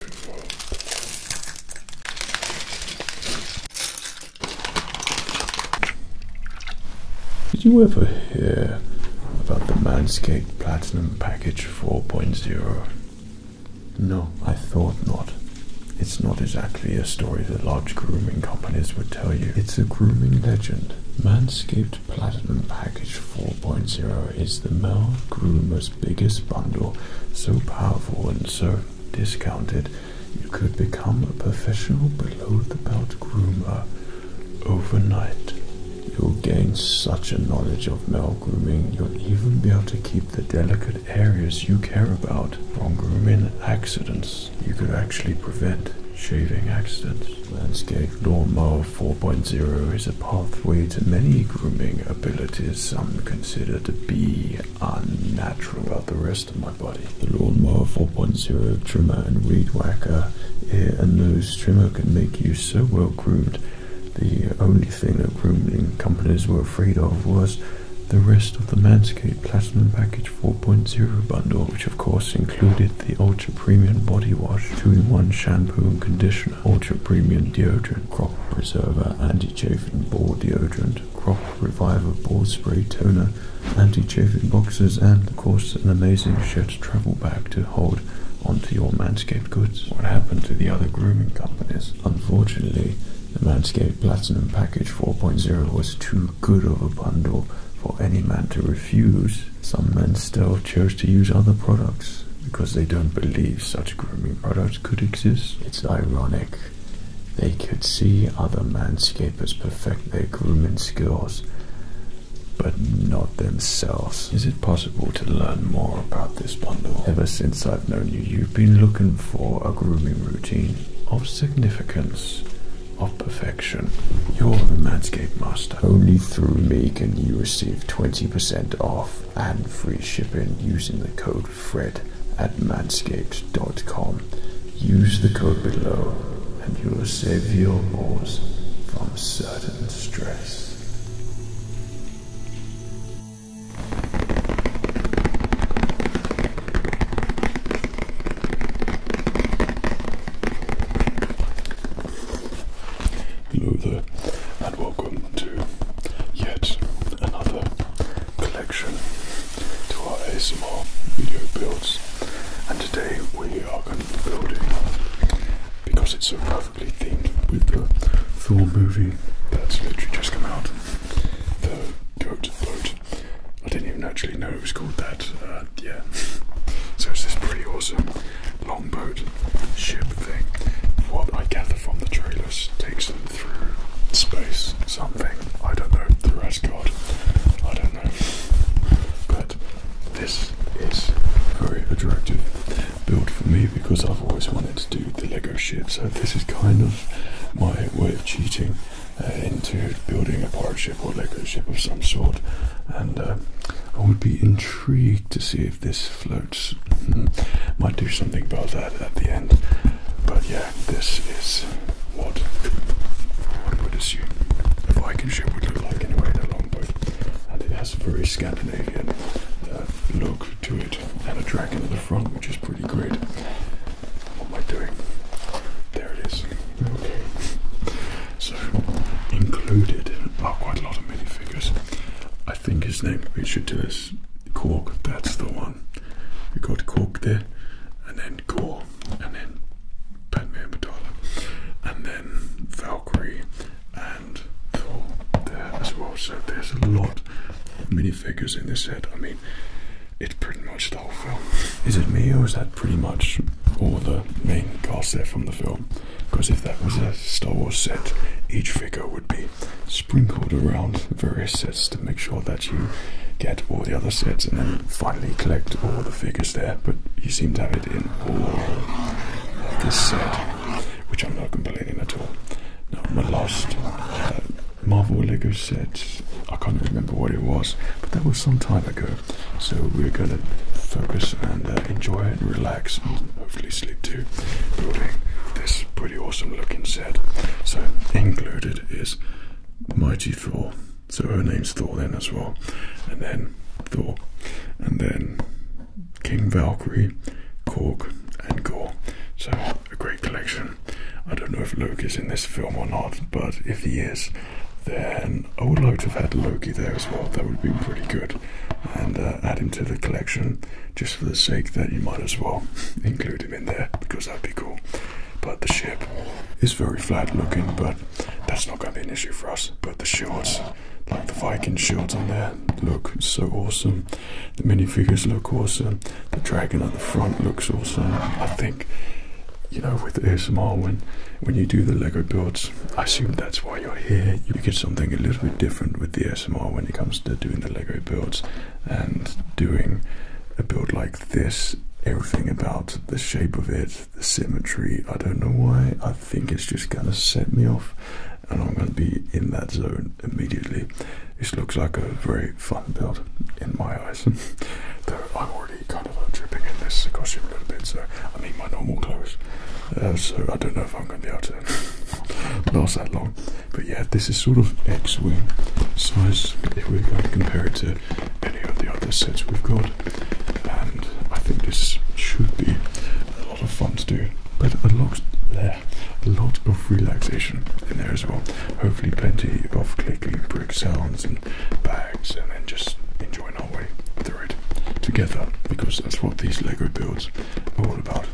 Did you ever hear about the Manscaped Platinum Package 4.0? No, I thought not. It's not exactly a story that large grooming companies would tell you. It's a grooming legend. Manscaped Platinum Package 4.0 is the male groomer's biggest bundle, so powerful and so discounted, you could become a professional below the belt groomer overnight. You'll gain such a knowledge of male grooming, you'll even be able to keep the delicate areas you care about from grooming accidents. You could actually prevent shaving accidents. Landscape Lawnmower 4.0 is pathway to many grooming abilities some consider to be unnatural about the rest of my body. The Lawnmower 4.0 trimmer and weed whacker ear and nose trimmer can make you so well groomed. The only thing that grooming companies were afraid of was the rest of the Manscaped Platinum Package 4.0 bundle, which of course included the ultra premium body wash, 2 in 1 shampoo and conditioner conditioner, ultra premium deodorant, crop preserver, anti-chafing ball deodorant, crop reviver ball spray toner, anti-chafing boxes, and of course an amazing shirt travel bag to hold onto your Manscaped goods. What happened to the other grooming companies? Unfortunately, the Manscaped Platinum Package 4.0 was too good of a bundle for any man to refuse. Some men still chose to use other products because they don't believe such grooming products could exist. It's ironic. They could see other manscapers perfect their grooming skills, but not themselves. Is it possible to learn more about this bundle? Ever since I've known you, you've been looking for a grooming routine of significance, of perfection. You're the Manscaped Master. Only through me can you receive 20% off and free shipping using the code fred at manscaped.com. Use the code below and you will save your balls from certain distress. Hello there, and welcome to yet another collection to our ASMR video builds, and today we are going to be building because it's a perfectly themed with the Thor movie that's literally just come out. The goat boat. I didn't even actually know it was called that. Uh, yeah. So it's this pretty awesome long boat ship thing. What I gather from the trailers takes them through space, something, I don't know, the rest god, I don't know. But this is very attractive build for me because I've always wanted to do the Lego ship, so this is kind of my way of cheating uh, into building a pirate ship or Lego ship of some sort. And uh, I would be intrigued to see if this floats. Hmm. Might do something about that at the end. But yeah, this is what one would assume a Viking ship would look like anyway, a longboat. And it has a very Scandinavian uh, look to it and a dragon in the front, which is pretty great. What am I doing? There it is. Okay. So, included are quite a lot of minifigures. I think his name, it should do this cork. That's the one. We got cork there, and then gore, and then Padme Amidala, and then Valkyrie, and Thor there as well. So there's a lot of minifigures in this set. I mean, it's pretty much the whole film. Is it me, or is that pretty much all the main cast there from the film? Because if that was a Star Wars set, each figure would be sprinkled around various sets to make sure that you get all the other sets and then finally collect all the figures there. But you seem to have it in all this set, which I'm not complaining at all. Now, my last uh, Marvel Lego set, I can't remember what it was, but that was some time ago. So we're gonna focus and uh, enjoy and relax and hopefully sleep too, building this pretty awesome looking set. So included is Mighty Thor. So her name's Thor then as well. And then Thor. And then King Valkyrie, Korg, and Gore. So a great collection. I don't know if Loki's in this film or not, but if he is, then I would like to have had Loki there as well. That would have been pretty good. And uh, add him to the collection just for the sake that you might as well include him in there because that'd be cool. But the ship is very flat looking, but that's not going to be an issue for us. But the shields, like the Viking shields on there, look so awesome. The minifigures look awesome. The dragon at the front looks awesome. I think you know, with ASMR, when, when you do the Lego builds, I assume that's why you're here. You get something a little bit different with the ASMR when it comes to doing the Lego builds and doing a build like this, everything about the shape of it, the symmetry, I don't know why, I think it's just gonna set me off and I'm gonna be in that zone immediately. This looks like a very fun build in my eyes. Though I'm already kind of dripping in this costume a little bit, so I need my normal clothes. Uh, so I don't know if I'm gonna be able to last that long. But yeah, this is sort of X-wing size if we're going to compare it to any of the other sets we've got. And I think this should be a lot of fun to do. But a lot there, a of relaxation in there as well. Hopefully, plenty of clicking brick sounds and bags, and then just enjoying our way through it together because that's what these Lego builds are all about.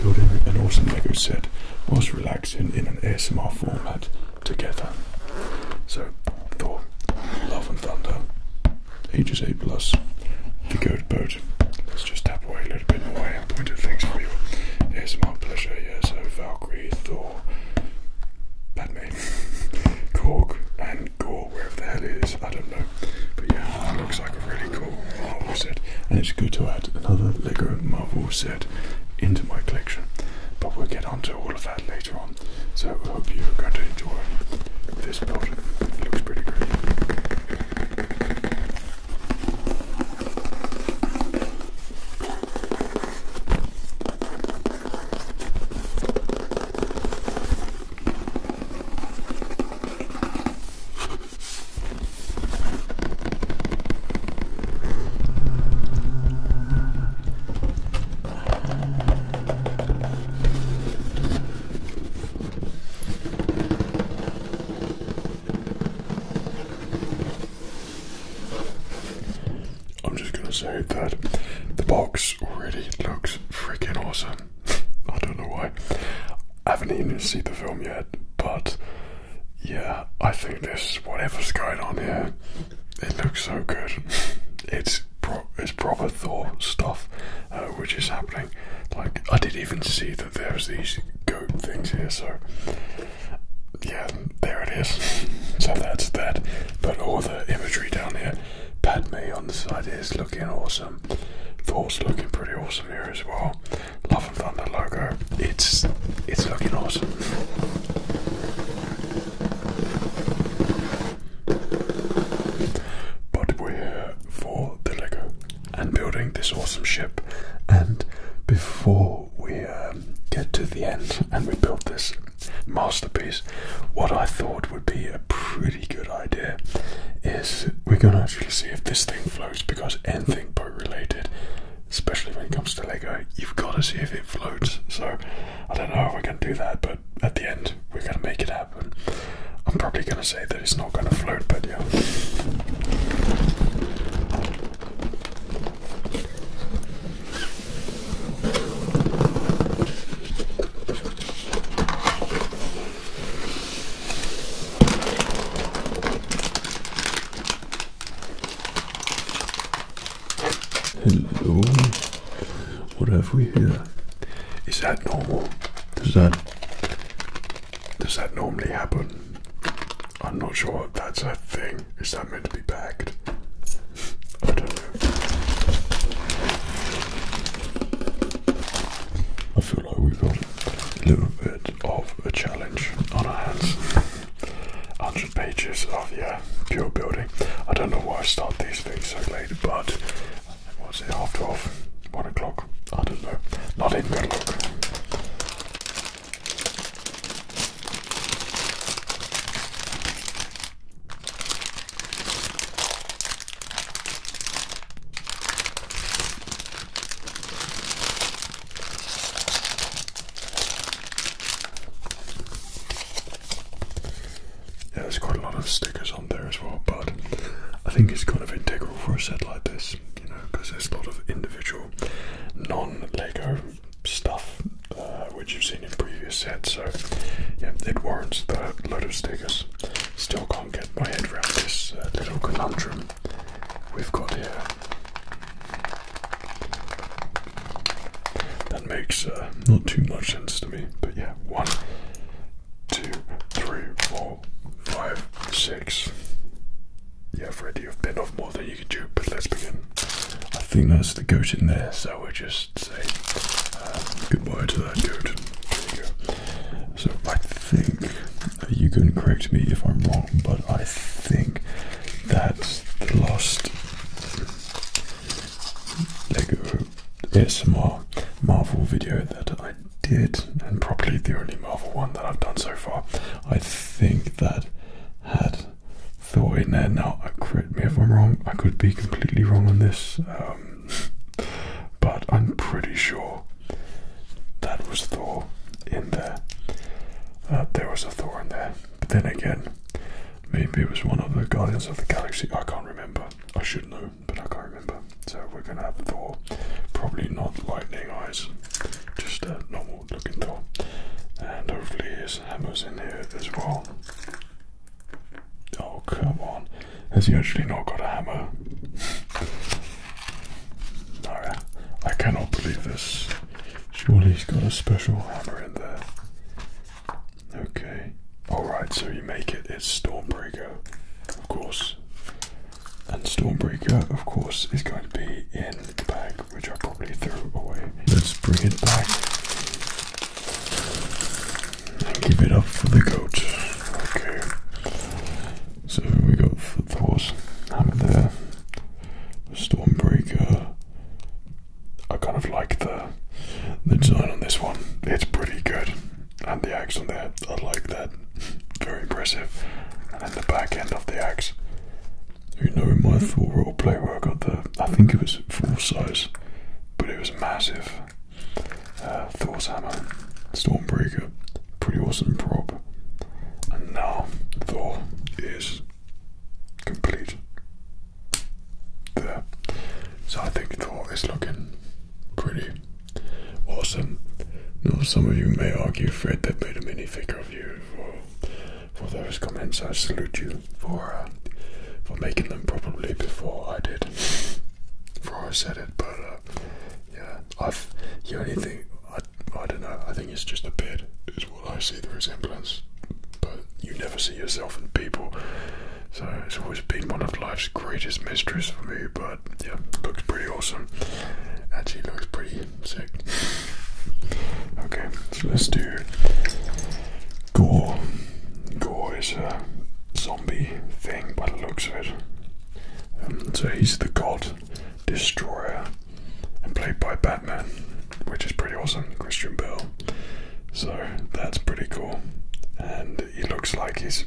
Building an awesome Lego set whilst relaxing in it an ASMR format together. So, Thor, Love and Thunder, ages 8 plus, The Goat Boat. Let's just tap away a little bit more and point at things for you. It's my pleasure, yeah, so Valkyrie, Thor, Batman, Cork, and Gore, wherever the hell is, I don't know. But yeah, that looks like a really cool Marvel set. And it's good to add another Lego Marvel set into my collection. But we'll get onto all of that later on. So I hope you're going to enjoy this build. It looks pretty good. I'm just gonna say that the box already looks freaking awesome. I don't know why. I haven't even seen the film yet, but yeah, I think this whatever's going on here, it looks so good. it's pro it's proper Thor stuff, uh, which is happening. Like I didn't even see that there's these goat things here, so yeah, there it is. so that's that. But all the imagery down here, Padme on the side is looking awesome. Thor's looking pretty awesome here as well. Love and Thunder logo. It's it's looking awesome. But we're for the Lego and building this awesome ship. And before we um, get to the end and we build this masterpiece, what I thought would be a pretty good idea is we're going to actually see if this thing floats because anything boat related especially when it comes to Lego, you've got to see if it floats. So I don't know if we're going to do that, but at the end, we're going to make it happen. I'm probably going to say that it's not going to float, but yeah. Hello. What have we here? Is that normal? Does that does that normally happen? I'm not sure that's a thing. Is that meant to be packed? I don't know. I feel like we've got a little bit of a challenge on our hands. 100 pages of yeah pure building. I don't know why I start these things so late, but what's it half twelve, one o'clock? I don't know. Not in good luck. Yeah, there's quite a lot of stickers on there as well, but I think it's kind of integral for a set like this, you know, because there's a lot of individual non-Lego stuff uh, which you've seen in previous sets, so yeah, it warrants the load of stickers. Still can't get my head around this uh, little conundrum we've got here that makes uh, not too much sense to me but yeah one two three four five six yeah freddy you've been off more than you could do but let's begin i think that's the goat in there so we'll just say um, goodbye to that goat there you go so i think you can correct me if i'm wrong but i think that's the last Lego ASMR Marvel video that I did, and probably the only Marvel one that I've done so far. I think that had Thor in there. Now, uh, correct me if I'm wrong, I could be completely wrong on this, um, but I'm pretty sure that was Thor in there. Uh, there was a Thor in there. But Then again, maybe it was one of the Guardians of the Galaxy. I can't remember. I should know, but I can't remember. So we're gonna have Thor, probably not lightning eyes, just a normal looking Thor, and hopefully his hammer's in here as well. Oh come on, has he actually not got a hammer? no, I cannot believe this. Surely he's got a special hammer in there. Okay. Alright, so you make it. It's Stormbreaker, of course. And Stormbreaker, of course, is going to be in the bag, which I probably threw away. Let's bring it back. And give it up for the goat. Okay. So here we got Thor's hammer there. Stormbreaker. I kind of like the the design on this one. It's pretty good, and the axe on there. I like that. Very impressive. And the back end of the axe. You know, in my Thor roleplay where I got the, I think it was full size, but it was massive. Uh, Thor's hammer, Stormbreaker, pretty awesome prop. And now Thor is complete. There. So I think Thor is looking pretty awesome. Now some of you may argue, Fred, that made a mini figure of you. For, those comments, I salute you for uh, for making them probably before I did, before I said it. But uh, yeah, I've the only thing I, don't know. I think it's just a bit, is what I see the resemblance. But you never see yourself in people. So it's always been one of life's greatest mysteries for me. But yeah, looks pretty awesome. Actually, looks pretty sick. Okay, so let's do Gore. Gore is a zombie thing by the looks of it. Um, so he's the god destroyer and played by Batman, which is pretty awesome, Christian Bale. So that's pretty cool, and he looks like he's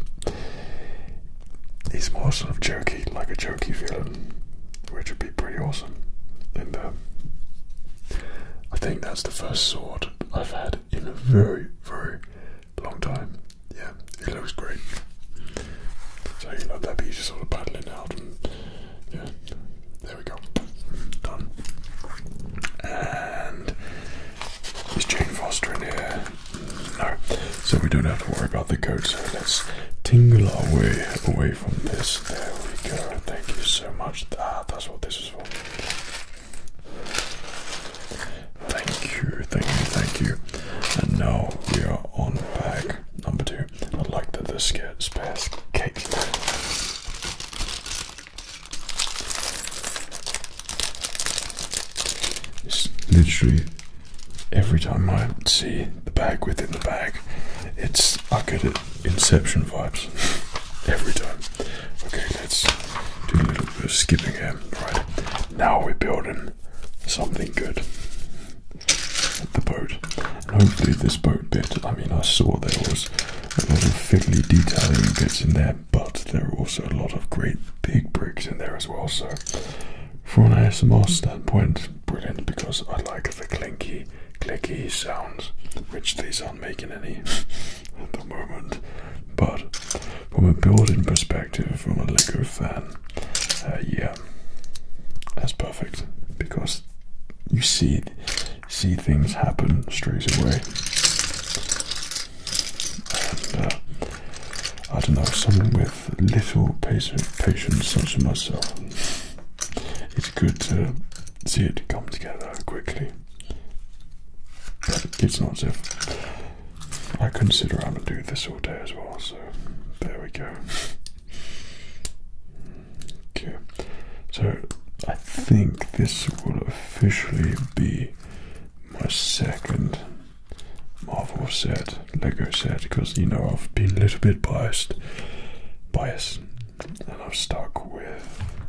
he's more sort of jokey, like a jokey villain, which would be pretty awesome. And uh, I think that's the first sword I've had in a very, very long time. Yeah, it looks great. So you know that'd be just sort of battling out yeah, there we go, done. And is Jane Foster in here? No, so we don't have to worry about the code. So let's tingle our way away from this. There we go. Thank you so much. That. Ah, that's what this is for. Thank you, thank you, thank you. And now we are on bag number two. I like that the skirt's past cake. It's literally every time I see the bag within the bag, it's I get it Inception vibes every time. Okay, let's do a little bit of skipping here. Right now, we're building something good the boat. And hopefully this boat bit, I mean I saw there was a lot of fiddly detailing bits in there, but there are also a lot of great big bricks in there as well, so from an ASMR standpoint, brilliant because I like the clinky, clicky sounds, which these aren't making any at the moment. But from a building perspective, from a Lego fan, uh, yeah, that's perfect because you see see things happen straight away. Uh, I don't know, someone with little patience, such as myself, it's good to see it come together quickly. it's not as if I consider I'm going to do this all day as well, so there we go so I think this will officially be my second Marvel set, Lego set, because you know I've been a little bit biased, biased, and i am stuck with.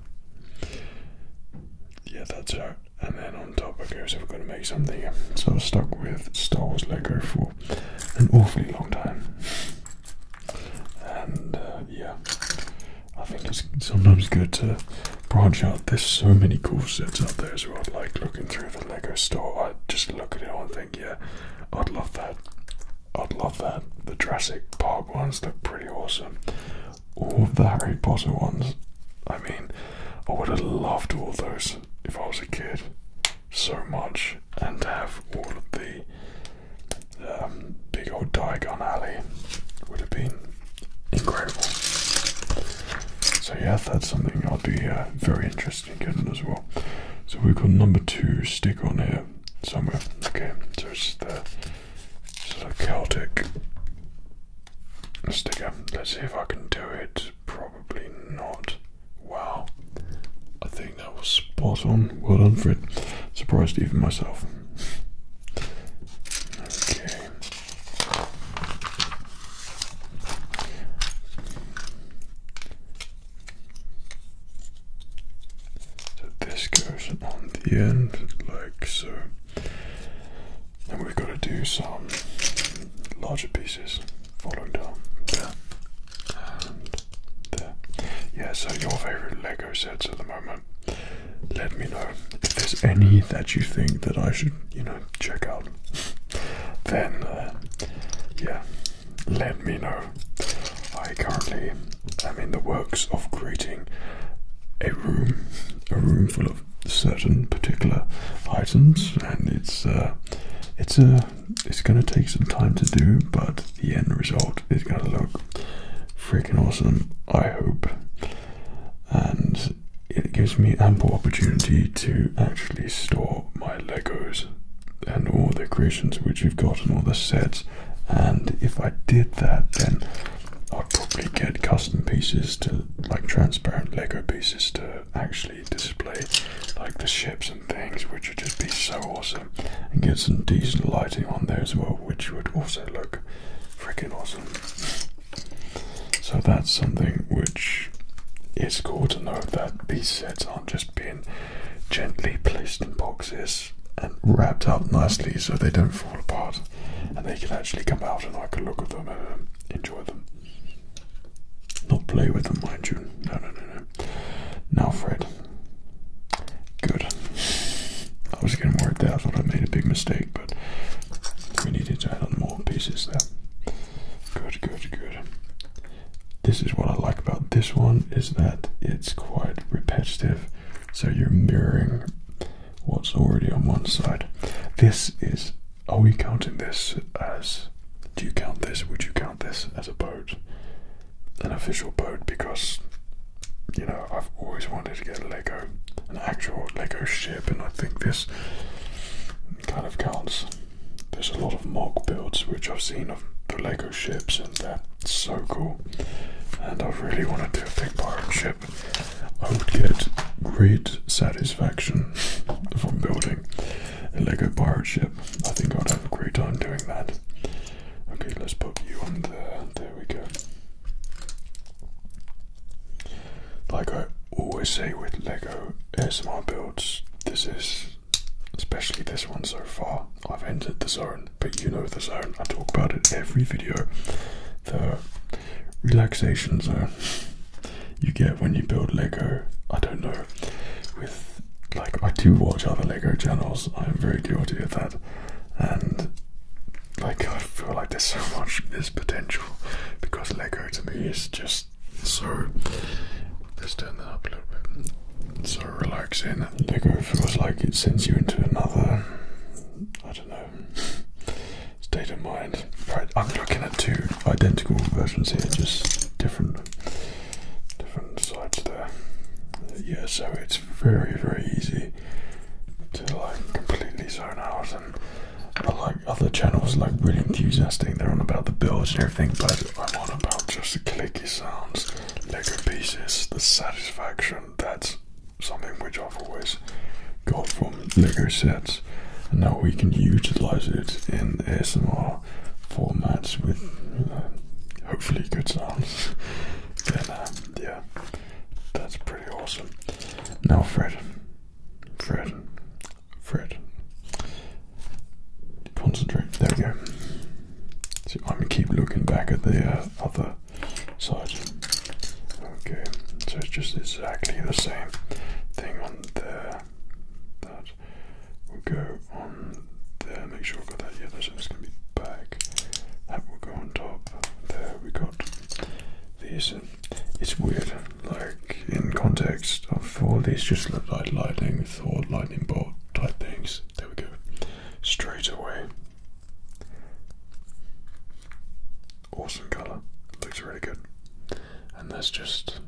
Yeah, that's right. And then on top, of okay, so we've got to make something. So I am stuck with Star Wars Lego for an awfully long time and uh, yeah, I think it's sometimes good to branch out. There's so many cool sets out there So I'd Like looking through the Lego store, I just look at it and think, yeah, I'd love that. I'd love that. The Jurassic Park ones look pretty awesome. All of the Harry Potter ones. I mean, I would have loved all those if I was a kid so much and have all of the um, big old Diagon Alley would have been incredible. So yeah, that's something i would be very interested in getting as well. So we've got number two stick on here somewhere. Okay, so it's the sort of Celtic sticker. Let's see if I can do it. Probably not. Wow, I think that was spot on. Well done, Fred. Surprised even myself. So this goes on the end, like so. And we've got to do some larger pieces following down and uh, Yeah, so your favorite Lego sets at the moment. Let me know if there's any that you think that I should, you know, check out. then, uh, yeah, let me know. I currently am in the works of creating a room, a room full of certain particular items, and it's uh, it's a it's going to take some time to do, but the end result is going to look freaking awesome, I hope. And it gives me ample opportunity to actually store my Legos and all the creations which we've got and all the sets. And if I did that, then I'd probably get custom pieces to like transparent Lego pieces to actually display, like the ships and things, which would just be so awesome. And get some decent lighting on there as well, which would also look freaking awesome. So that's something which is cool to know that these sets aren't just being gently placed in boxes and wrapped up nicely so they don't fall apart and they can actually come out and I can look at them and um, enjoy them. Not play with them, mind you. No, no, no, no. Now, Fred, Good. I was getting worried there. I thought I made a big mistake, but we needed to add on more pieces there. Good, good, good. This is what I like about this one is that it's quite repetitive, so you're mirroring what's already on one side. This is. Are we counting this as? Do you count this? Would you count this as a boat? an official boat because you know I've always wanted to get a Lego, an actual Lego ship, and I think this kind of counts. There's a lot of mock builds which I've seen of the Lego ships, and they're so cool. And I really want to do a big pirate ship. I would get great satisfaction from building a Lego pirate ship. I think I'd have a great time doing that. Okay, let's put you on there. There we go. Like I always say with Lego S M R builds, this is, especially this one so far, I've entered the zone, but you know the zone. I talk about it every video. The relaxation zone you get when you build Lego. I don't know. With like I do watch other Lego channels. I am very guilty of that and like I feel like there's so much this potential because Lego to me is just so. Let's turn that up a little bit. It's so relaxing. Lego feels like it sends you into another. I don't know. State of mind. Right, I'm looking at two identical versions here, just different, different sides there. Yeah, so it's very, very easy to like completely zone out and like other channels like really enthusiastic they're on about the builds and everything but I'm on about just the clicky sounds Lego pieces the satisfaction that's something which I've always got from Lego sets and now we can utilize it in ASMR formats with uh, hopefully good sounds um, yeah, that's pretty awesome. Now, Fred, Fred, Fred, concentrate. There we go. See, I'm gonna keep looking back at the uh, other side. Okay, so it's just exactly the same thing on there. That will go on there, make sure I've got that, yeah, that's just going to be back. That will go on top. There we got these. And it's weird, like in context of all these just look like lightning or lightning bolt type things. There we go. Straight away. Awesome colour. Looks really good. And that's just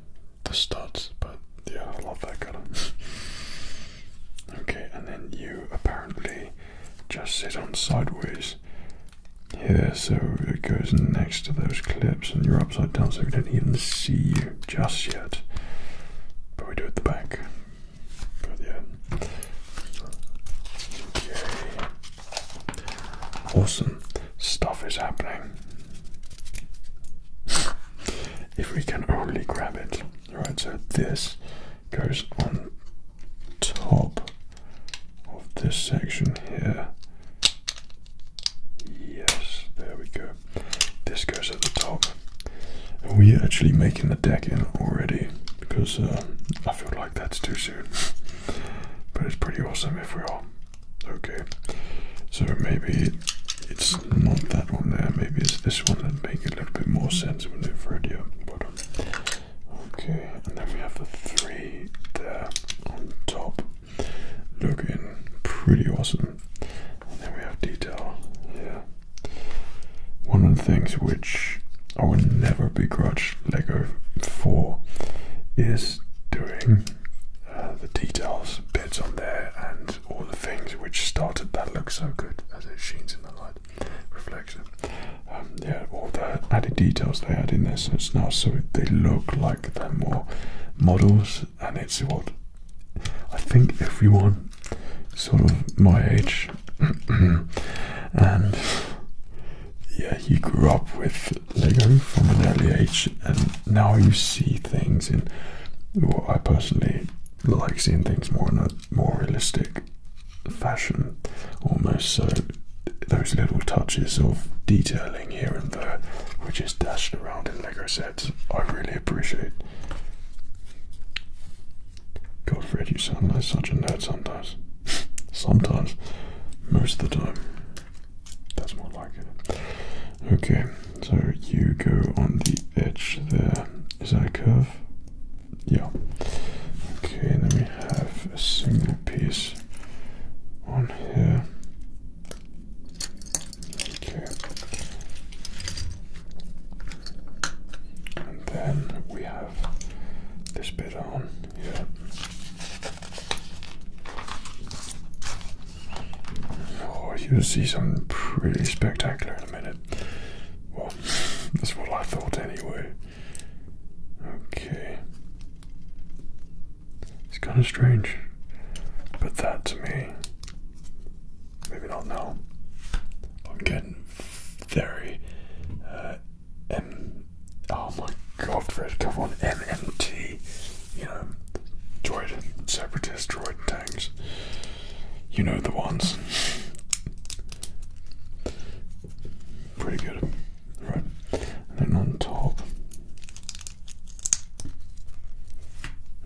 the studs, but yeah, I love that colour. okay, and then you apparently just sit on sideways here, so it goes next to those clips, and you're upside down, so we don't even see you just yet. But we do at the back. But yeah. Okay. Awesome stuff is happening. if we can only grab it. Alright, so this goes on top of this section here. Yes, there we go. This goes at the top. we're actually making the deck in already because uh, I feel like that's too soon. but it's pretty awesome if we are. Okay, so maybe it's not that one there, maybe it's this one that makes a little bit more sense when it's ready. But Okay, and then we have the three there on top, looking pretty awesome. And then we have detail here. One of the things which I would never begrudge Lego for is doing uh, the details bits on there and all the things which started that look so good as it sheens in the light reflection. Um, yeah, all the added details they add in their sense now, so they look like they more models, and it's what I think everyone, sort of my age, and yeah, you grew up with Lego from an early age, and now you see things in. Well, I personally like seeing things more on more realistic fashion, almost. So those little touches of detailing here and there, which is dashed around in Lego sets, I really appreciate. Godfred, you sound like such a nerd sometimes. sometimes. Most of the time. That's more like it. Okay, so you go on the edge there. Is that a curve? yeah. Okay, and then we have a single piece on here. Okay. And then we have this bit on here. Oh, you'll see something pretty spectacular in a minute. Wow, that's what I thought anyway. Okay. It's kind of strange. But that to me, maybe i not know. I'm getting very uh, M. Oh my god, Fred, come on, MMT. You know, droid, separatist droid tanks. You know the ones. Pretty good. Right. And then on top.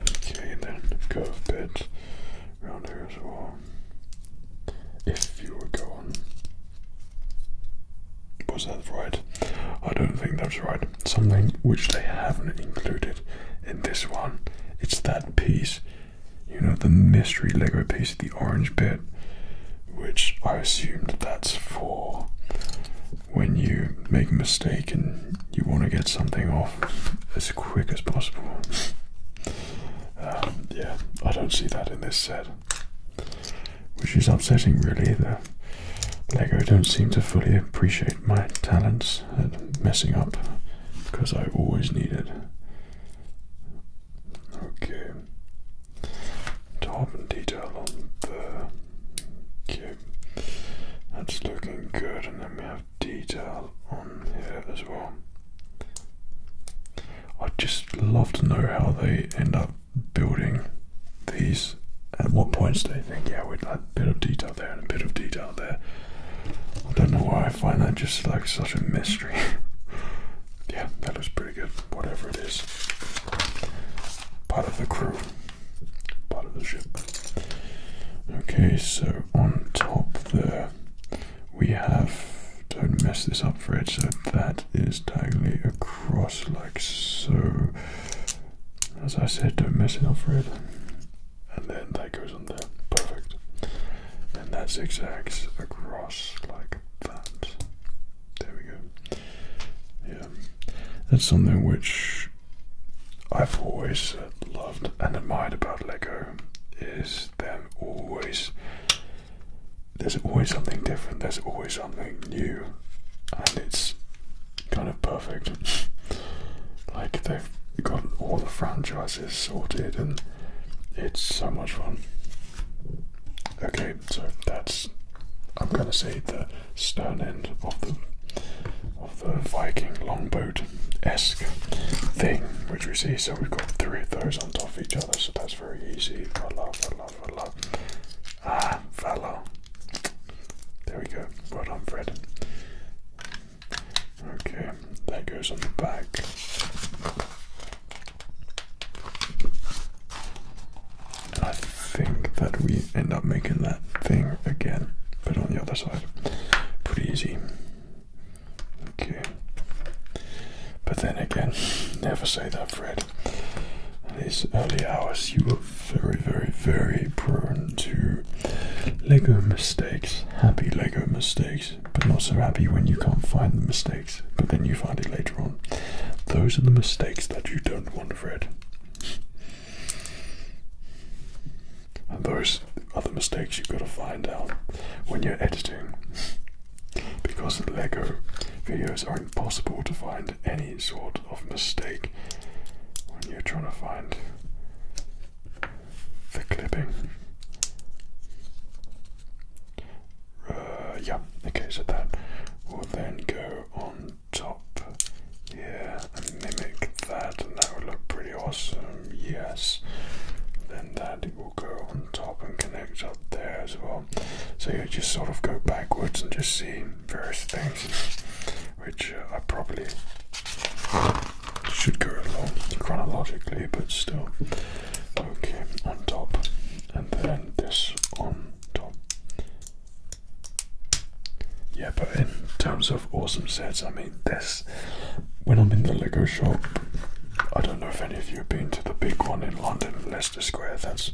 Okay, and then curve bit around here as well. If you were going, Was that right? I don't think that's right. Something which they haven't included in this one. It's that piece you know, the mystery Lego piece, the orange bit, which I assumed that's for when you make a mistake and you want to get something off as quick as possible. Um, yeah, I don't see that in this set, which is upsetting, really. The Lego don't seem to fully appreciate my talents at messing up because I always need it. Okay. Top and detail on there. Okay. That's looking good. And then we have detail on here as well. I'd just love to know how they end up building these. At what points do they think, yeah, we'd like a bit of detail there and a bit of detail there. I don't know why I find that just like such a mystery. yeah, that was pretty good. Whatever it is, part of the crew, part of the ship. Okay, so on top there we have. Don't mess this up, Fred. So that is diagonally across, like so. As I said, don't mess it up, Fred. And then that goes on there. Perfect and that zigzags across like that. There we go. Yeah, that's something which I've always loved and admired about Lego is them always. There's always something different. There's always something new, and it's kind of perfect. like they've got all the franchises sorted, and it's so much fun. Okay, so that's I'm gonna say the stern end of the of the Viking longboat esque thing which we see. So we've got three of those on top of each other, so that's very easy. Voila, voila, voila. Ah, fellow. There we go. Right on, Fred. Okay, that goes on the back. I think that we end up making that thing again, but on the other side. Pretty easy. Okay. But then again, never say that, Fred. these early hours, you were very, very, very prone to Lego mistakes, happy Lego mistakes but not so happy when you can't find the mistakes, but then you find it later on. Those are the mistakes that you don't want, Fred. And those are the mistakes you've got to find out when you're editing. Because the Lego videos are impossible to find any sort of mistake when you're trying to find the clipping. Uh, yeah, okay, so that will then go on top here and mimic that, and that would look pretty awesome, yes. Then that will go on top and connect up there as well. So you just sort of go backwards and just see various things, which I uh, probably should go along chronologically, but still. Okay, on top, and then this on top. Yeah, but in terms of awesome sets, I mean, this. When I'm in the Lego shop, I don't know if any of you have been to the big one in London, Leicester Square. That's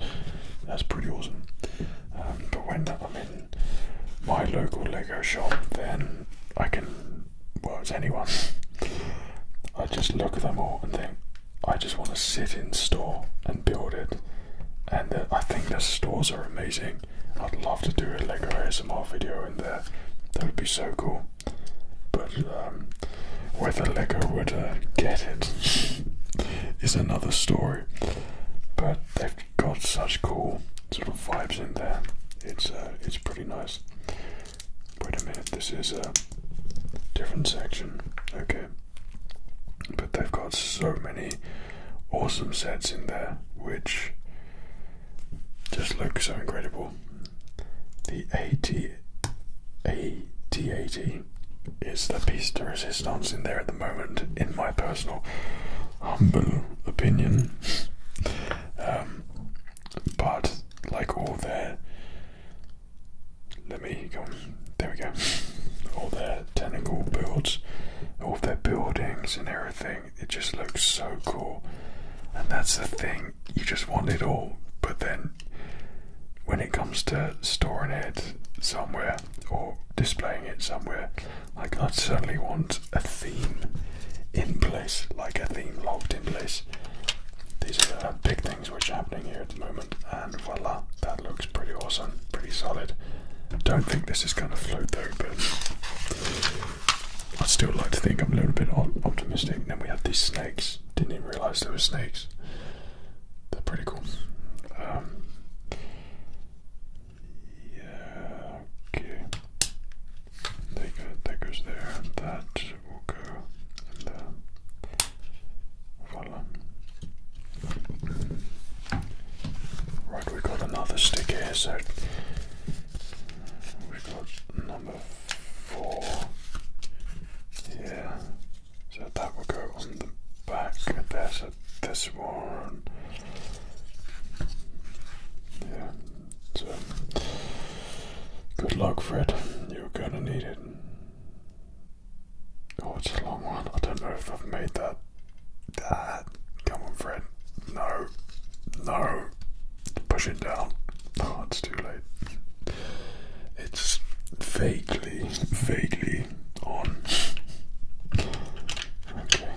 that's pretty awesome. Um, but when I'm in my local Lego shop, then I can well, anyone. I just look at them all and think, I just want to sit in store and build it. And I think the stores are amazing. I'd love to do a Lego ASMR video in there. That would be so cool. But um, whether Lego would uh, get it is another story. But they've got such cool sort of vibes in there. It's uh, it's pretty nice. Wait a minute, this is a different section. Okay. But they've got so many awesome sets in there, which just look so incredible. The AT, 80 is the piece de resistance in there at the moment, in my personal humble opinion. Um, but like all their let me go. There we go. All their technical builds, all their buildings and everything. It just looks so cool. And that's the thing. You just want it all, but then when it comes to storing it somewhere or displaying it somewhere, like I certainly want a theme in place, like a theme locked in place. These are big things which are happening here at the moment, and voila, that looks pretty awesome, pretty solid. Don't think this is going to float though, but I still like to think I'm a little bit optimistic. Then we had these snakes. Didn't even realise there were snakes. They're pretty cool. Um, yeah, okay. There, there. That will go in there. Right, we got another stick so we got number four. Yeah. So that will go on the back. There's this one. Yeah. So good luck, Fred. You're gonna need it. Oh, it's a long one. I don't know if I've made that. Ah, come on, Fred. No. No. Push it down. Oh, it's too late. It's vaguely, vaguely on. Okay.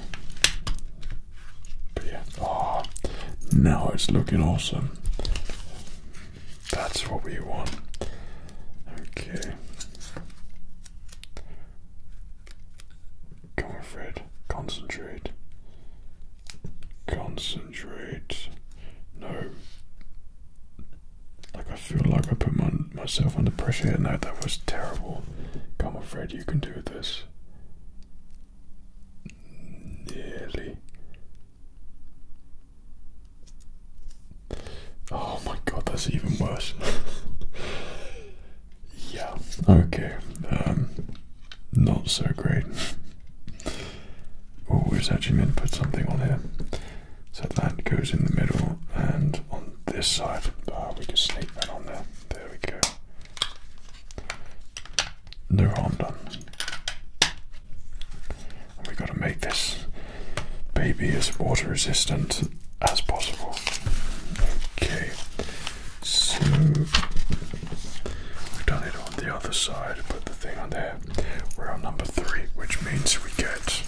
But yeah. Oh, now it's looking awesome. That's what we want. Okay. Come on, Fred. Concentrate. Concentrate. No. Like I feel like I put myself under pressure here. No, that was terrible. I'm afraid You can do this. Nearly. Oh my god, that's even worse. yeah, okay. Um, not so great. oh, it's actually meant to put something on here. So that goes in the middle, and on this side, uh, we can sneak that on there. There we go. No harm done. And we've got to make this baby as water resistant as possible. Okay, so we've done it on the other side, put the thing on there. We're on number three, which means we get.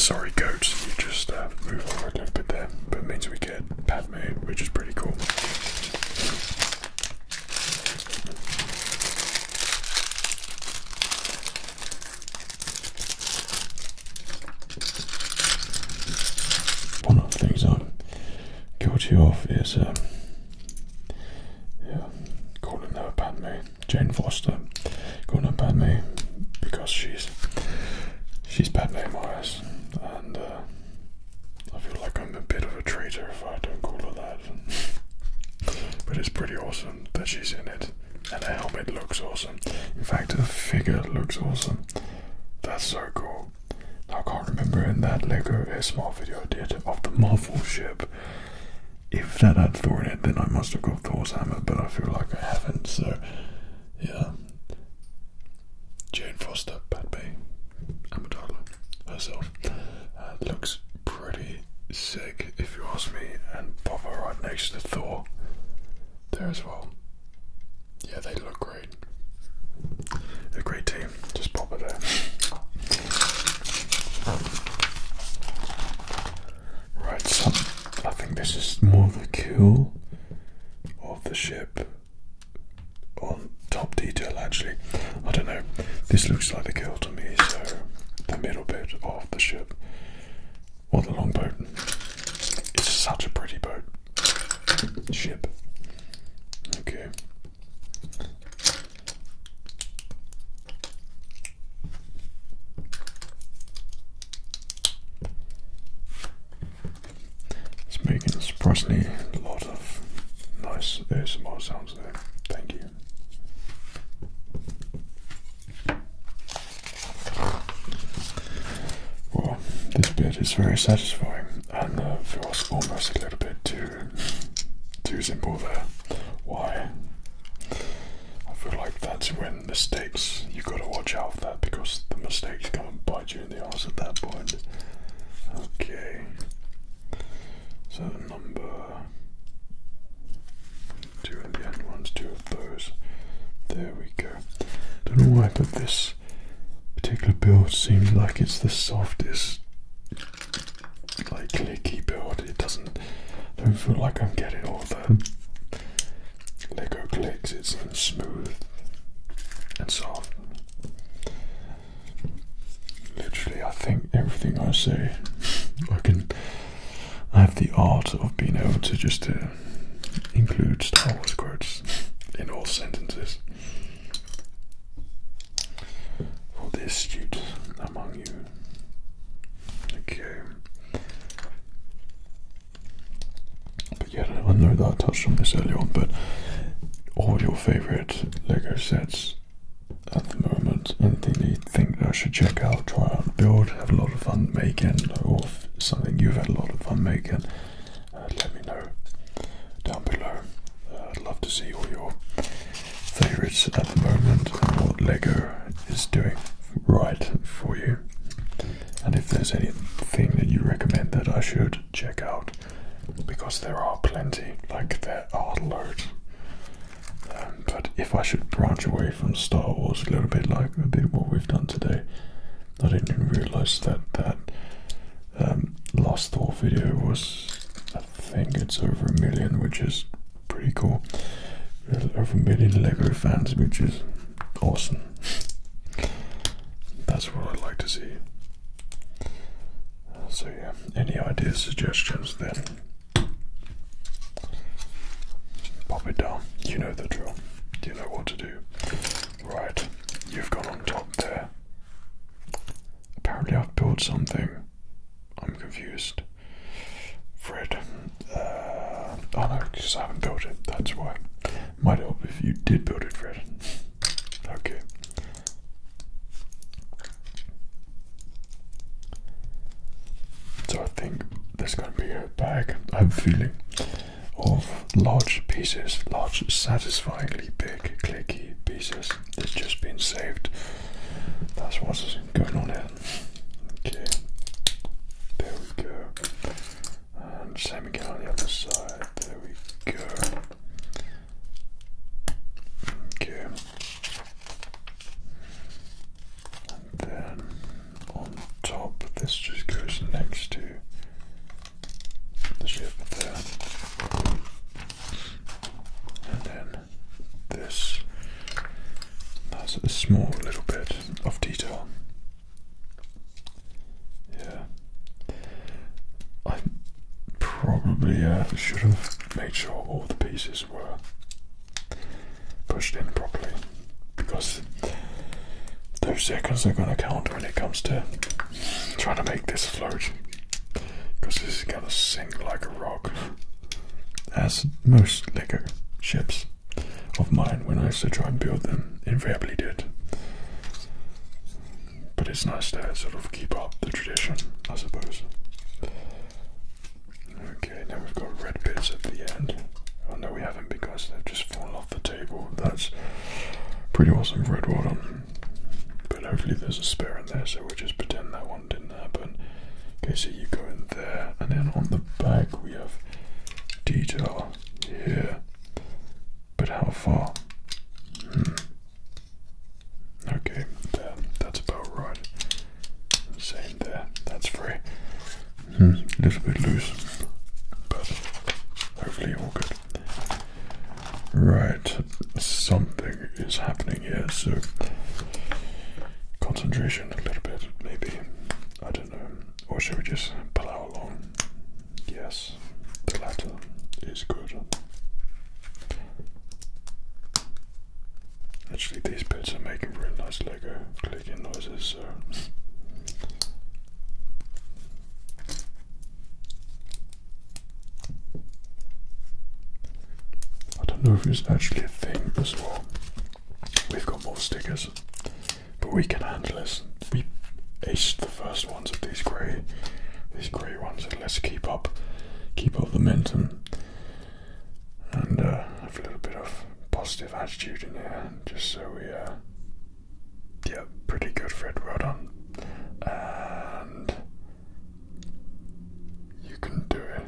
Sorry, goat, you just uh, move over a little bit there, but it means we get Padme, which is pretty cool. One of the things I'm guilty of is, um, yeah, calling her Padme, Jane Foster, calling her Padme because she's she's Padme Morris, and uh, I feel like I'm a bit of a traitor if I don't call her that. but it's pretty awesome that she's in it. And the helmet looks awesome. In fact, the figure looks awesome. That's so cool. Now, I can't remember in that Lego A Small video I did of the Marvel ship. If that had Thor in it, then I must have got Thor's hammer, but I feel like I haven't, so yeah. Jane Foster, Pat Bay, Amadala herself, uh, looks pretty sick, if you ask me, and Papa right next to Thor there as well. Yeah, they look great. A great team. Just pop it there. Right, so I think this is more of the kill of the ship on top detail actually. I don't know. This looks like the girl to me, so the middle bit of the ship. Or the boat. It's such a pretty boat. Ship. Okay. It's making surprisingly a lot of nice ASMR sounds there. Thank you. Well, this bit is very satisfying and uh, feels almost a little bit too too simple there. Why? I feel like that's when mistakes you have gotta watch out for that because the mistakes come and bite you in the ass at that point. Okay. So two at the end, one's two of those. There we go. Don't know why, but this particular build seems like it's the softest, like clicky build. It doesn't. I don't feel like I'm getting all the Lego clicks. It's smooth and soft. Literally, I think everything I say, I can. I have the art of being able to just uh, include Star Wars quotes in all sentences. For the astute among you. Okay. But yeah, I know that I touched on this earlier on, but all your favorite Lego sets at the moment, anything you think I should check out, try out, build, have a lot of fun making, or something you've had a lot of fun making, uh, let me know down below. Uh, I'd love to see all your favorites at the moment and what Lego is doing right for you. And if there's anything that you recommend that I should check out, because there are plenty, like there are loads but if I should branch away from Star Wars a little bit, like a bit what we've done today, I didn't even realize that that um, last Thor video was, I think it's over a million, which is pretty cool. Over a million Lego fans, which is awesome. That's what I'd like to see. So yeah, any ideas, suggestions, then Pop it down. You know the drill. Do You know what to do. Right, you've gone on top there. Apparently, I've built something. I'm confused. Fred, uh, oh no, because I haven't built it. That's why. Might help if you did build it, Fred. okay. So I think there's going to be a bag, I'm feeling, of large pieces, large, satisfyingly big, clicky pieces that's just been saved. That's what's going on here. Okay, there we go. And same again on the other side. There we go. Okay, and then on top, this just goes next to the ship there. And then this has a small little bit of detail. Yeah. I probably uh, should have made sure all the pieces were pushed in properly because those seconds are going to count when it comes to trying to make this float because this is going to sink like a rock as most liquor ships of mine when I used to try and build them invariably did but it's nice to sort of keep up the tradition I suppose Okay, now we've got red bits at the end. Oh no, we haven't because they've just fallen off the table. That's pretty awesome, red. Well But hopefully there's a spare in there, so we'll just pretend that one didn't happen. Okay, so you go in there, and then on the back we have detail here. But how far? Hmm. Okay, there. That's about right. Same there. That's free. Hmm. A little bit loose, but hopefully all good. Right, something is happening here, so concentration a little bit, maybe. I don't know. Or should we just plow along? Yes, the latter is good. Actually, these bits are making real nice Lego clicking noises, so. I don't know if it's actually a thing as well. We've got more stickers, but we can handle this. We aced the first ones of these grey, these grey ones, and let's keep up, keep up the momentum and uh, have a little bit of positive attitude in here, just so we, uh, pretty good, Fred. Well done, and you can do it.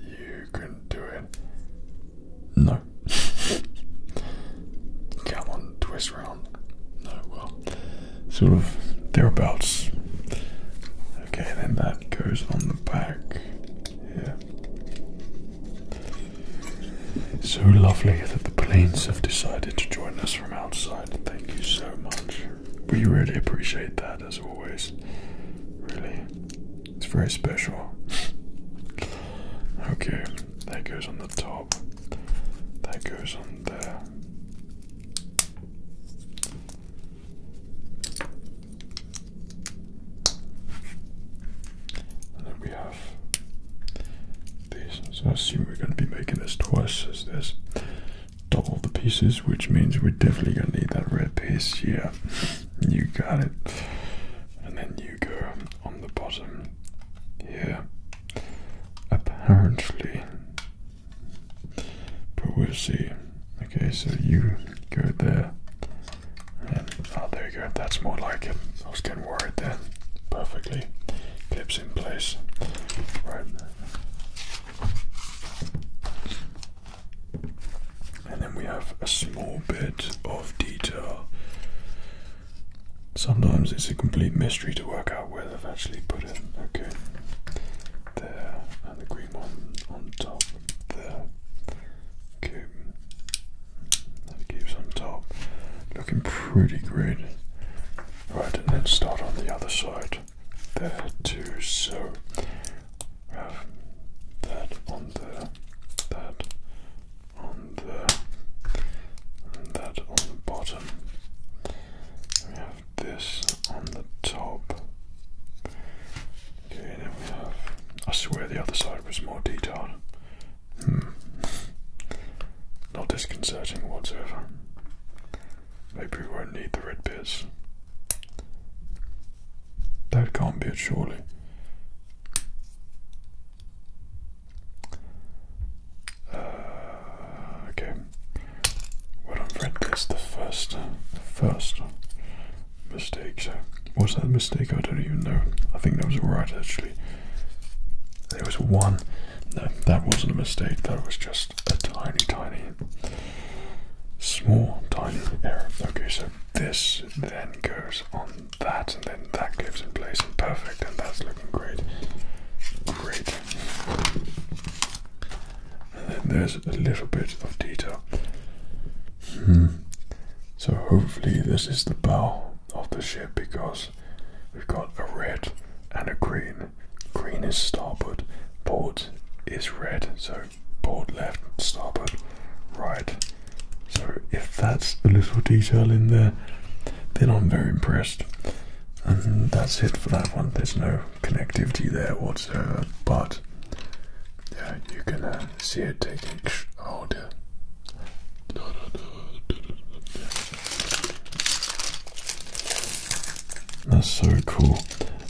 You can do it. No. Come on, twist round. No, well, sort of thereabouts. Okay, then that goes on the back. Yeah. So lovely that the planes have decided to join us from outside. Thank you so much. We really appreciate that, as always. Really, it's very special. okay, that goes on the top, that goes on there. And then we have these. So I assume we're going to be making this twice as this. Double the pieces, which means we're definitely going to need that red piece. here. you got it. And then you go on the bottom here. Apparently, but we'll see. Okay, so you go there. And, oh, there you go. That's more like it. I was getting worried there. Perfectly. Clips in place. Right. And then we have a small bit of detail. Sometimes it's a complete mystery to work out where they've actually put it. Okay there, and the green one on top there. Okay, that keeps on top. Looking pretty great. Right, and then start on the other side there too. So have that on there, that on there, that on the bottom. We have this on the top. I swear the other side was more detailed. Hmm. Not disconcerting whatsoever. Maybe we won't need the red bears. That can't be it, surely. Uh, okay. Well, I've read the first, the first mistake. was that a mistake? I don't even know. I think that was right actually. There was one. No, that wasn't a mistake. That was just a tiny, tiny, small, tiny error. Okay, so this then goes on that, and then that goes in place, and perfect, and that's looking great. Great and then there's a little bit of detail. Hmm. So hopefully this is the bow of the ship because we've got a red and a green. Green is starboard, port is red, so port left, starboard right. So if that's a little detail in there, then I'm very impressed. And that's it for that one. There's no connectivity there whatsoever, but yeah, you can uh, see it taking older. That's so cool.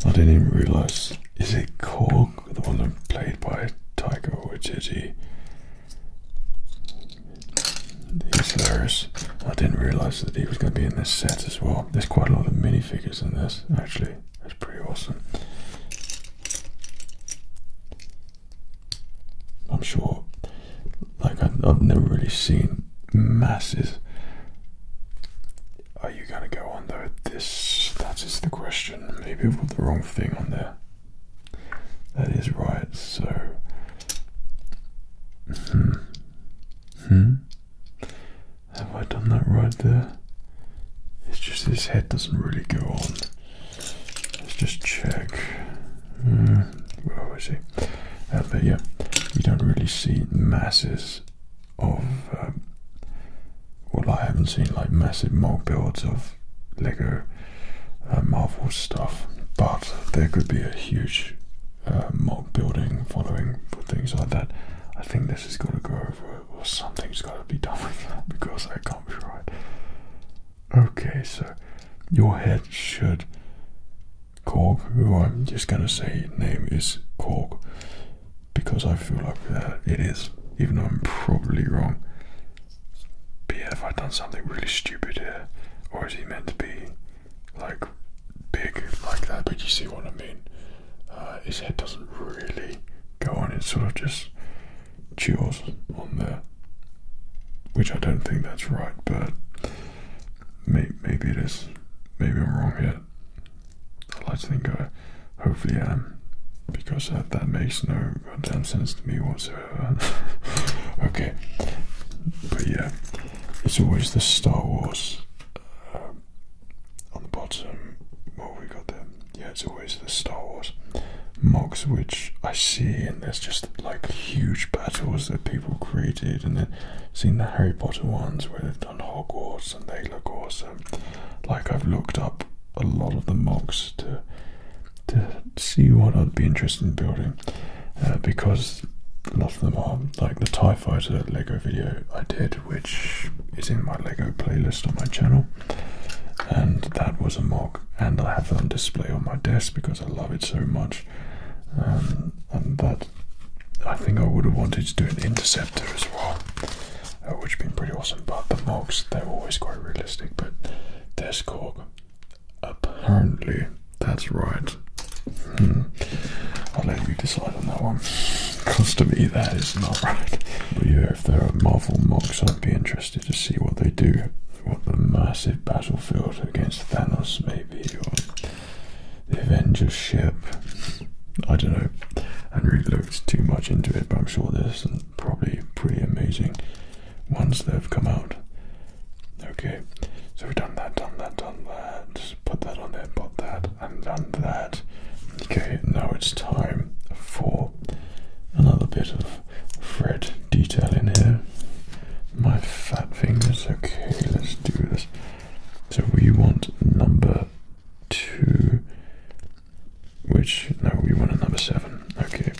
I didn't even realize. Is it Cork, the one played by Tiger Waititi? He's hilarious. I didn't realize that he was going to be in this set as well. There's quite a lot of minifigures in this, actually. That's pretty awesome. I'm sure, like, I, have never really seen masses. Are you gonna go on though? This that is the question. Maybe I put the wrong thing on there. That is right, so. Hmm. Hmm. Have I done that right there? It's just his head doesn't really go on. Let's just check. Uh, where was he? but yeah, you don't really see masses of. Um, well, I haven't seen like massive mold builds of Lego uh, Marvel stuff, but there could be a huge uh, building following for things like that. I think this is going to go over well, something's got to be done with that because that can't be right. Okay, so your head should. Cork. who I'm just going to say name is Cork because I feel like uh, it is, even though I'm probably wrong. But yeah, have I done something really stupid here? Or is he meant to be like big like that? But you see what I mean? Uh, his head doesn't really go on, it sort of just chews on there, which I don't think that's right, but maybe maybe it is. Maybe I'm wrong here. I like to think I hopefully am, because that, makes no goddamn sense to me whatsoever. okay, but yeah, it's always the Star Wars. Uh, um, on the bottom, what we got there? Yeah, it's always the Star Wars mocs, which I see, and there's just like huge battles that people created, and then seen the Harry Potter ones where they've done Hogwarts, and they look awesome. Like I've looked up a lot of the mocs to to see what I'd be interested in building, uh, because a lot of them are like the Tie Fighter Lego video I did which is in my Lego playlist on my channel, and that was a mock, and I have it on display on my desk because I love it so much, um, and that I think I would have wanted to do an interceptor as well, uh, which would been pretty awesome. But the mocks they're always quite realistic, but this Korg. Apparently, that's right. Hmm. I'll let you decide on that one. Custom-y, that is not right. But yeah, if there are Marvel mocks, I'd be interested to see what they do. What the massive battlefield against Thanos may be, or the Avengers ship. I don't know. I haven't really looked too much into it, but I'm sure there's some probably pretty amazing ones that have come out. Okay, so we've done that, done that, done that. put that on there, put that, and done that. Okay, now it's time for another bit of thread detail in here. My fat fingers. Okay, let's do this. So we want number two, which no, we want a number seven. Okay,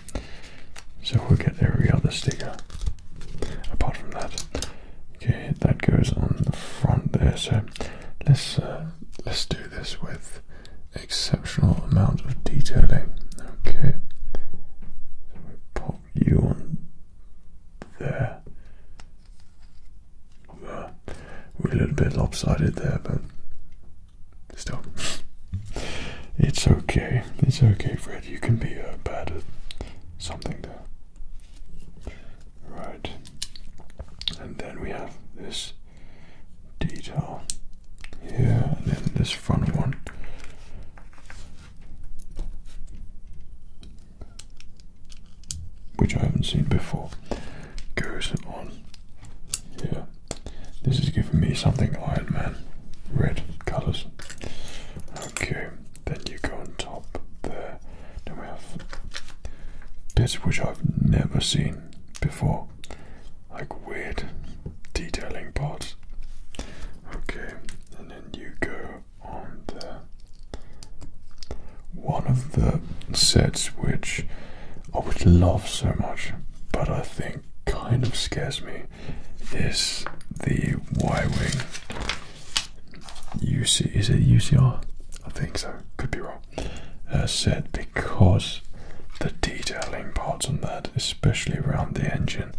so we'll get every other sticker apart from that. Okay, that goes on the front there. So let's uh, let's do this with exceptional amount of detailing. Okay, we pop you on there. we're a little bit lopsided there, but still, it's okay. It's okay, Fred. You can be a bad something there. Right, and then we have this detail here and then this front one. Which I haven't seen before goes on here. This is giving me something Iron Man red colors. Okay, then you go on top there. Then we have this, which I've never seen before like weird detailing parts. Okay, and then you go on the one of the sets which I would love so much, but I think kind of scares me is the Y Wing. UC is it U C R? I think so. Could be wrong uh, set because the detailing parts on that, especially around the engine,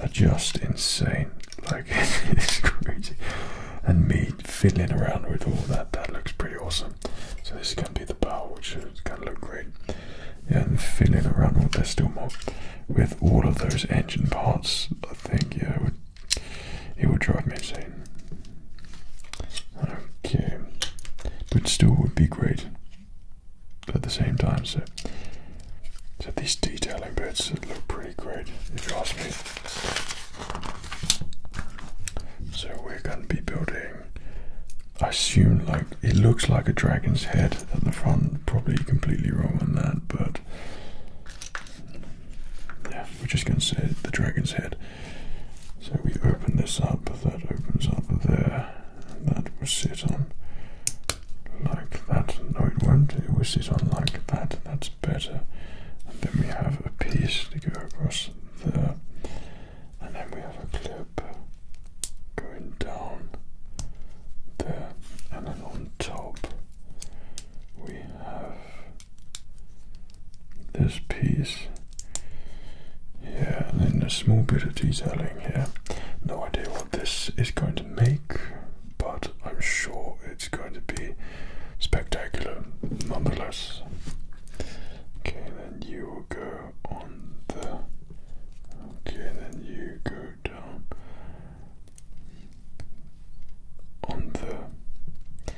are just insane. Like it's crazy. And me fiddling around with all that, that looks pretty awesome. So this is going to be the bow, which is going to look great. and fiddling around with this still more, with all of those engine parts, I think yeah, it would drive me insane. Okay, but still would be great at the same time. So, so these detailing bits look pretty great, if you ask me. So we're going to be building. I assume like it looks like a dragon's head at the front. Probably completely wrong on that, but yeah, we're just going to say the dragon's head. So we open this up, that opens up there, and that will sit on like that. No, it won't, it will sit on like that, that's better. then we have a piece to go across there, and then we have a clip going down there, and then on top we have this piece yeah, and then a small bit of detailing here. No idea what this is going to make, but I'm sure it's going to be spectacular nonetheless. Okay, then you go on the. Okay, then you go down on the.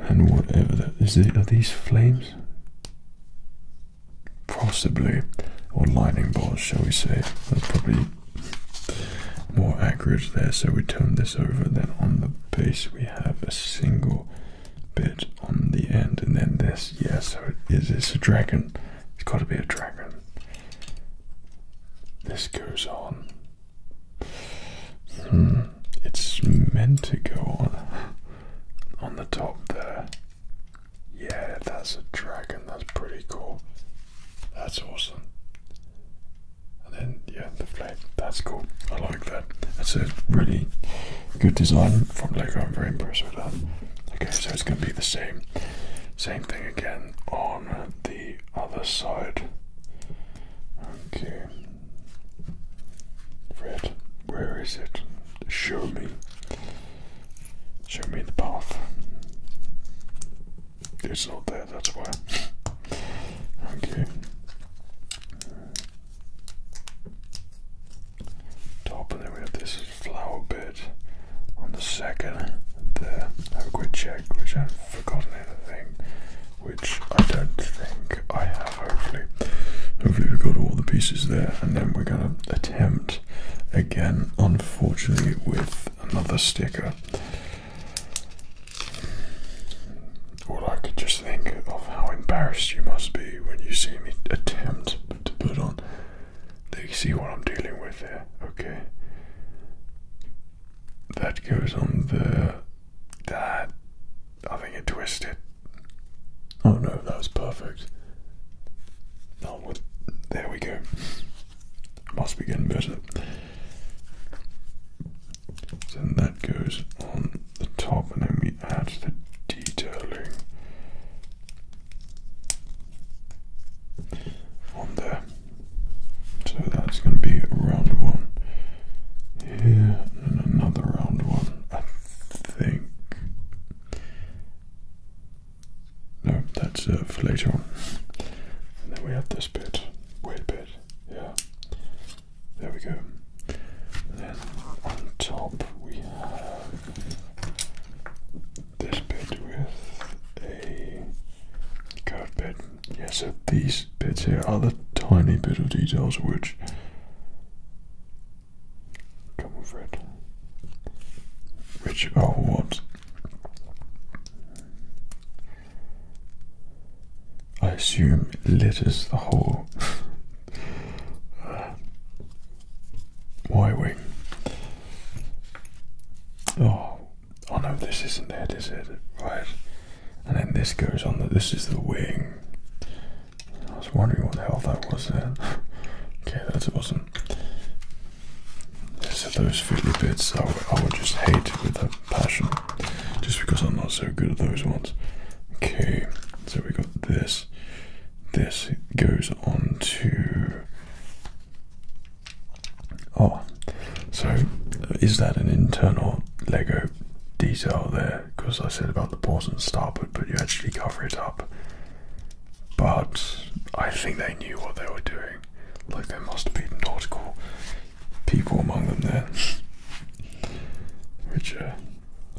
And whatever that is, are these flames? possibly, or lightning bolts, shall we say. That's probably more accurate there. So we turn this over, then on the base we have a single bit on the end, and then this. Yeah, so it is it's a dragon. It's got to be a dragon. This goes on. Hmm it's meant to go on on the top there. Yeah, that's a dragon. That's pretty cool. That's awesome. And then yeah, the flag. That's cool. I like that. That's a really good design from Lego. I'm very impressed with that. Okay, so it's going to be the same, same thing again on the other side. Okay, Red, where is it? Show me. Show me the path. It's not there, that's why. okay. Top, and then we have this flower bed on the second. There, have a quick check, which I've forgotten anything, which I don't think I have hopefully. Hopefully we've got all the pieces there and then we're gonna attempt again, unfortunately, with another sticker. Or I could just think of how embarrassed you must be when you see me attempt to put on. They see what I'm dealing with here, okay? That goes on the That I think it twisted. Oh no, that was perfect. Oh, what? There we go. Must be getting better. then that goes on the top, and then we add the detailing on there. So that's going to be round one here, and another round one think. No, that's uh, for later on. And then we have this bit, weird bit, yeah. There we go. then on top we have this bit with a curved bit. Yeah, so these bits here are the tiny bit of details which Come with it. Which oh what? I assume it litters the whole Why Y wing. Oh, oh no, this isn't it, is it? Right, and then this goes on. That this is the wing, I was wondering what the hell that was Then okay, that wasn't. those fiddly bits I, I would just hate with a passion, just because I'm not so good at those ones. Okay, so we got this. This goes on to. Oh, so is that an internal Lego detail there? because I said about the port and starboard, but you actually cover it up. But I think they knew what they were doing. Like, there must have been nautical people among them there. Which, uh,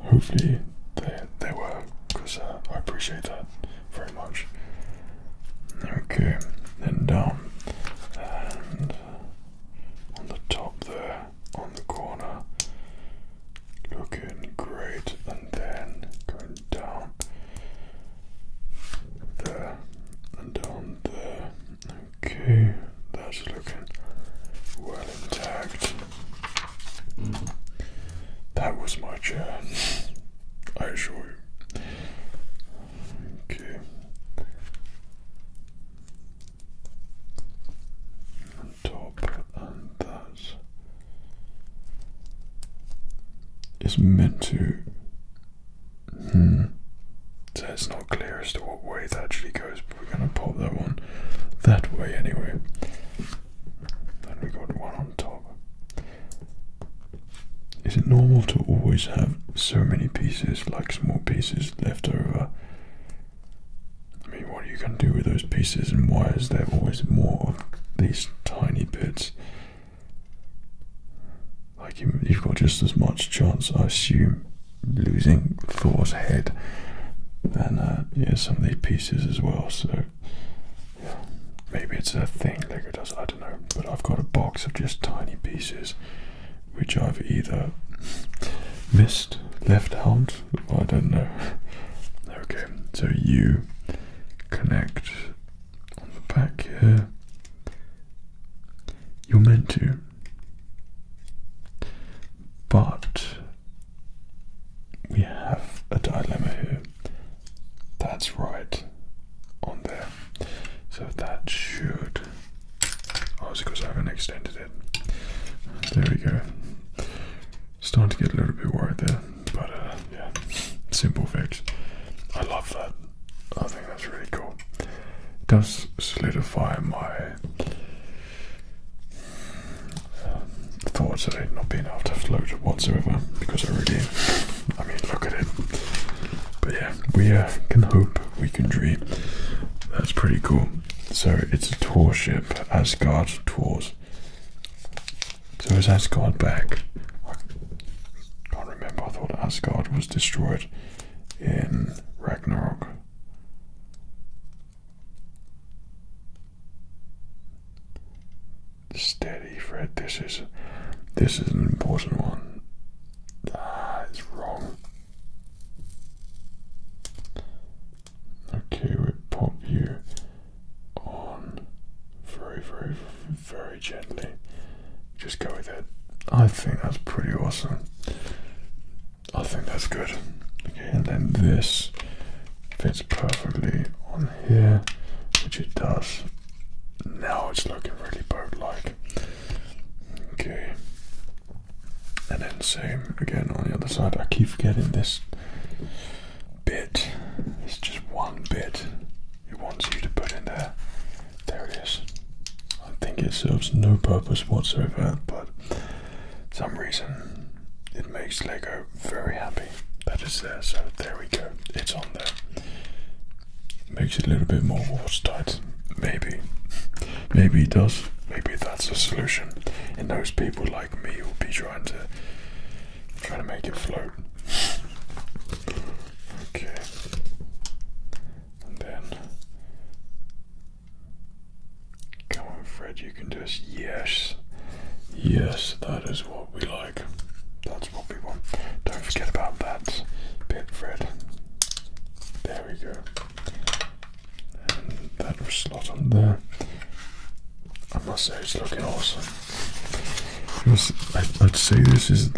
hopefully, they, they were, because uh, I appreciate that very much. Okay, then down. Um, and on the top there, on the corner, looking great, and then going down there and down there. Okay, that's looking well intact. That was my chair, I assure you. Okay top, and that is meant to. Hmm, so it's not clear as to what way it actually goes, but we're going to pop that one that way anyway. Then we got one on top. Is it normal to always have so many pieces, like small pieces, left over I mean, what are you gonna do with those pieces and wires, they're always more of these tiny bits. Like, you, have got just as much chance, I assume, losing Thor's head than uh, some of these pieces as well. So, maybe it's a thing Lego does, I don't know. But I've got a box of just tiny pieces which I've either missed, left out, I don't know. Okay, so you connect on the back here. You're meant to, but we have a dilemma here. That's right on there. So that should. Oh, it's because I have extended it. There we go. Starting to get a little bit worried there, but uh, yeah, simple fix. I love that. I think that's really cool. does solidify my um, thoughts of it not being able to float whatsoever because I really, I mean, look at it. But yeah, we uh, can hope, we can dream. That's pretty cool. So it's a tour ship, Asgard Tours so is Asgard back? I can't remember. I thought Asgard was destroyed in Ragnarok. Steady, Fred. This is this is an important one. Ah, it's wrong. Okay, we pop you on very, very, very gently. Just go with it. I think that's pretty awesome. I think that's good. Okay, and then this fits perfectly on here, which it does. Now it's looking really boat-like. Okay. And then same again on the other side. I keep forgetting this bit, it's just one bit it wants you to put in there. There it is. I think it serves no purpose whatsoever, but some reason it makes Lego very happy that it's there. So there we go, it's on there. Makes it a little bit more watertight, maybe. Maybe it does. Maybe that's a solution. And those people like like me will be trying to try to make it float. Okay. And then Come on Fred, you can do this. Yes. Yes, that is what we like. That's what we want. Don't forget about that bit, Fred. There we go. that will slot on there. I must say it's looking awesome. I, would say this is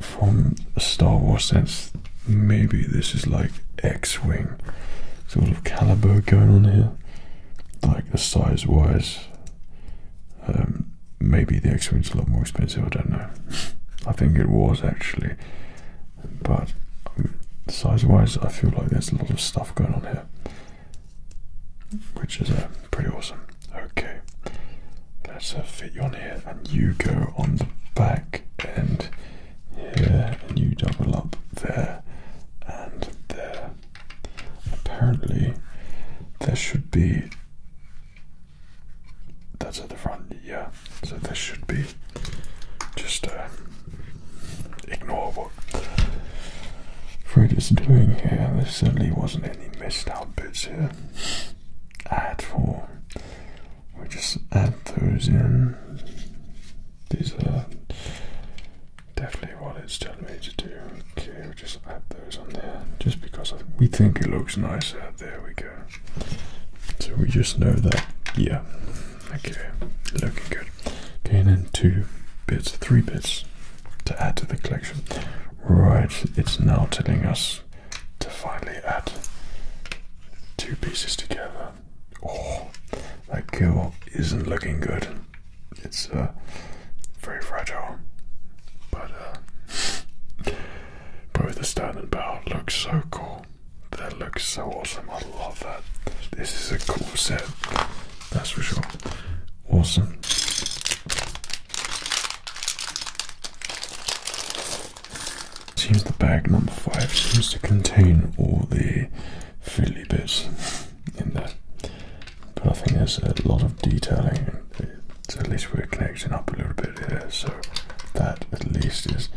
from Star Wars Since Maybe this is like X-wing sort of caliber going on here, like the size-wise. Um, maybe the X-wing's a lot more expensive. I don't know. I think it was actually, but um, size-wise, I feel like there's a lot of stuff going on here which is uh, pretty awesome. Okay, let's uh, fit you on here, and you go on the back end here, and you double up there and there. Apparently, there should be. That's at the front, yeah. So there should be just a uh, ignore what Fred is doing here. There certainly wasn't any messed up bits here at four. We just add those in. These are definitely what it's telling me to do. Okay, we just add those on there just because we think it looks nicer. There we go. So we just know that, yeah, okay, looking good. Okay, and then two bits, three bits to add to the collection. Right, it's now telling us to finally add two pieces together. Oh, that kill isn't looking good. It's uh, very fragile, but uh, both the stand and bow look so cool. That looks so awesome. I love that. This is a cool set. That's for sure. Awesome. Seems the bag number five seems to contain all the fiddly bits in there. But I think there's a lot of detailing. So at least we're connecting up a little bit here. So that at least is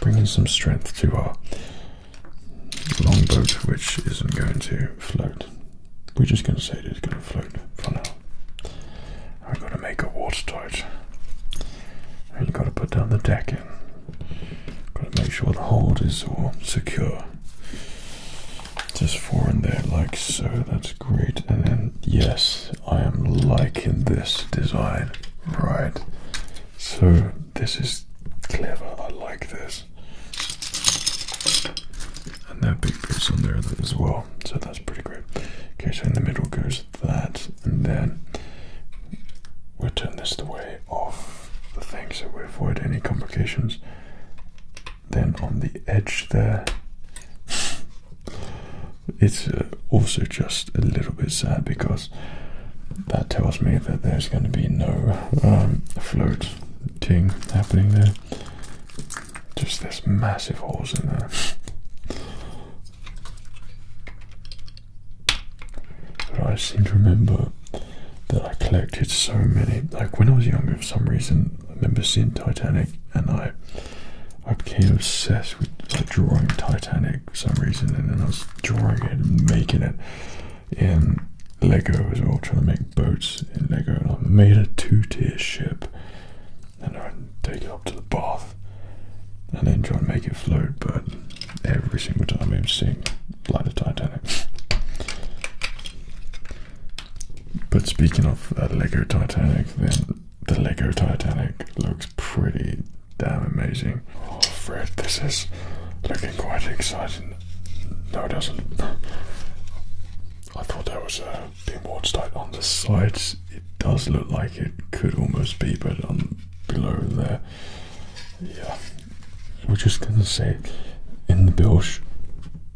bringing some strength to our Long boat, which isn't going to float. We're just going to say it is going to float for now. I've got to make it watertight. And have got to put down the decking. Got to make sure the hold is all secure. Just four in there, like so. That's great. And then, yes, I am liking this design. Right. So, this is clever. I like this. And that big piece on there as well. So that's pretty great. Okay, so in the middle goes that, and then we'll turn this the way off the things, so we avoid any complications. Then on the edge there, it's uh, also just a little bit sad because that tells me that there's going to be no um, float thing happening there. Just there's massive holes in there. But I seem to remember that I collected so many. Like when I was younger, for some reason, I remember seeing Titanic, and I I became obsessed with drawing Titanic for some reason, and then I was drawing it and making it in Lego as well, trying to make boats in Lego, and I made a two-tier ship, and I would take it up to the bath, and then try and make it float. But every single time I'm seeing like the Titanic. But speaking of that Lego Titanic, then the Lego Titanic looks pretty damn amazing. Oh, Fred, this is looking quite exciting. No, it doesn't. I thought there was a pinboard tight on the sides. It does look like it could almost be, but on below there, yeah. We're just gonna say, in the bilge,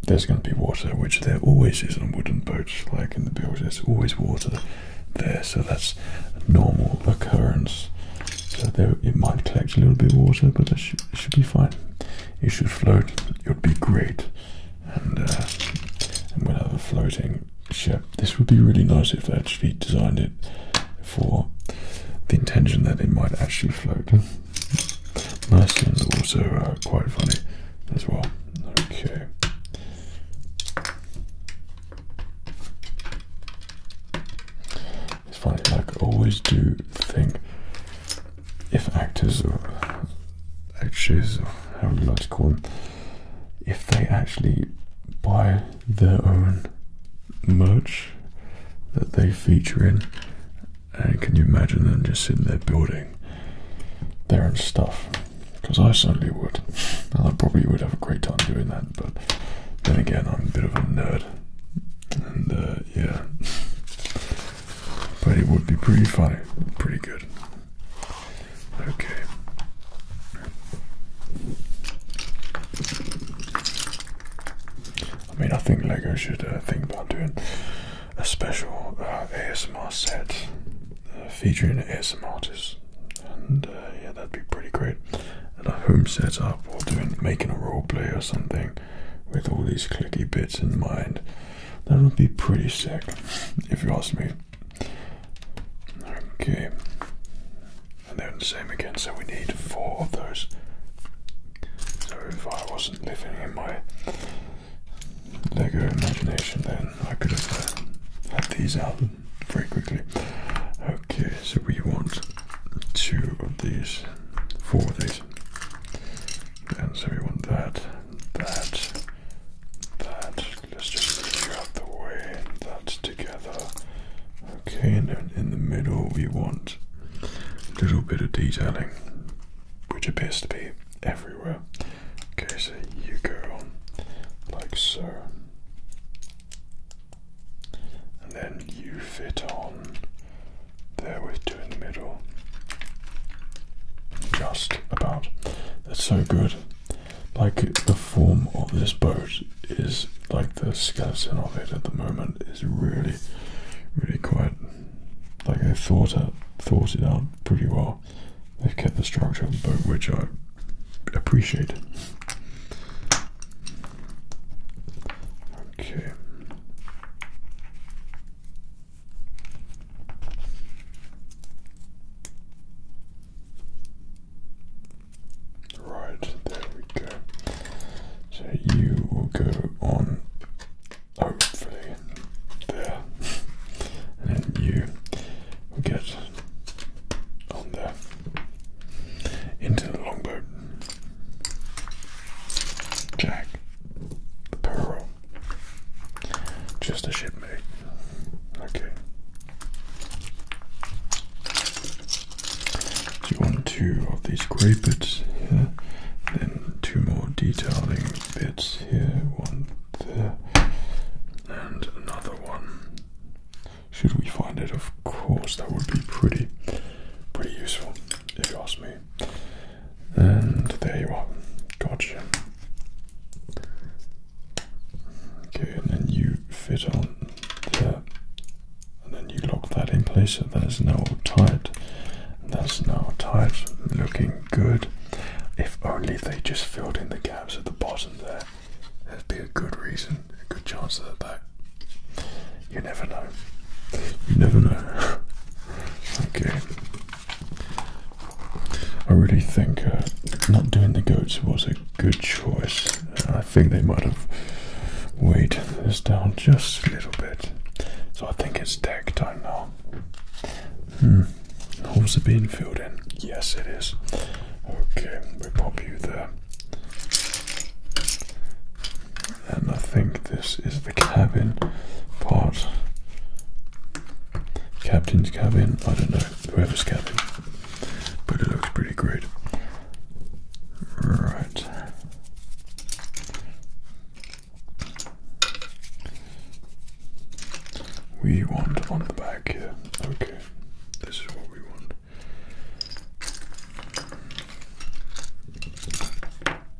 there's gonna be water, which there always is on wooden boats. Like in the bilge, there's always water there, so that's a normal occurrence. So it might collect a little bit of water, but that should be fine. It should float. It would be great, uh, and, we'll have a floating ship. This would be really nice if they actually designed it for the intention that it might actually float. nice are also uh, quite funny as well. Okay. It's funny, like I always do think if actors or actors or however you like to call them, if they actually buy their own merch that they feature in, and can you imagine them just sitting there building their own stuff? Because I certainly would, and I probably would have a great time doing that. But then again, I'm a bit of a nerd, and uh, yeah, but it would be pretty funny, pretty good. Okay. I mean, I think Lego should uh, think about doing a special uh, ASMR set uh, featuring ASMR artists, and yeah, that'd be pretty great. And a home setup, or doing making a role play or something, with all these clicky bits in mind. That would be pretty sick, if you ask me. Okay. And then the same again, so we need four of those. So if I wasn't living in my Lego imagination, then I could have uh, had these out very quickly. Okay, so we want two of these, four of these. And so we want that, that, that. Let's just move you out the way. That's together. Okay, and then in the middle we want a little bit of detailing, which appears to be everywhere. Okay, so you go on like so. And then you fit on there with two in the middle. Just about. That's so good. Like the form of this boat is like the skeleton of it at the moment is really, really quite like they thought it, thought it out pretty well. They've kept the structure of the boat, which I appreciate. Okay. Right, there we go. So you will go on hopefully there. and then you will get on there. Into the longboat. Jack the Pearl. Just a shipmate. Okay. So you want two of these grey bits here, then two more detailing bits here, one there, and another one. Should we find it? Of course, that would be pretty, pretty useful if you ask me. And there you are. Gotcha. Okay, and then you fit on there. And then you lock that in place so that is now tight. That's now tight. Looking good. If only they just filled in the gaps at the bottom there. there would be a good reason, a good chance of that you never know. You never know. okay. I really think uh, not doing the goats was a good choice. I think they might have weighed this down just a little bit. So I think it's deck time now. Hmm. How's the bean filled in? Yes, it is. Okay, we we'll pop you there and I think this is the cabin part. Captain's cabin, I don't know, whoever's cabin, but it looks pretty great. Right. We want on the back here. Okay, this is what we want.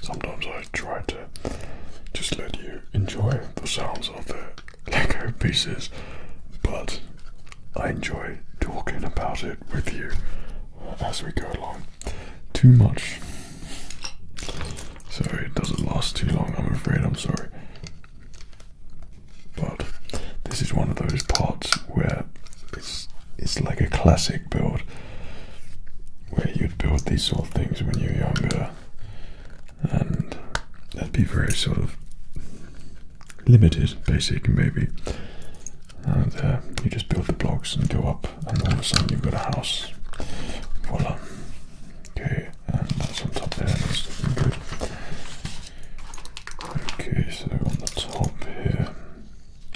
Sometimes I try to just let you enjoy the sounds of the Lego pieces, but I enjoy talking about it with you as we go along. Too much. Sorry, it doesn't last too long, I'm afraid, I'm sorry. But this is one of those parts where it's it's like a classic build where you'd build these sort of things when you're younger and that'd be very sort of limited, basic maybe. And uh, you just build the blocks and go up, and all of a sudden you've got a house. Voila. Okay, and that's on top there. That's good. Okay, so on the top here.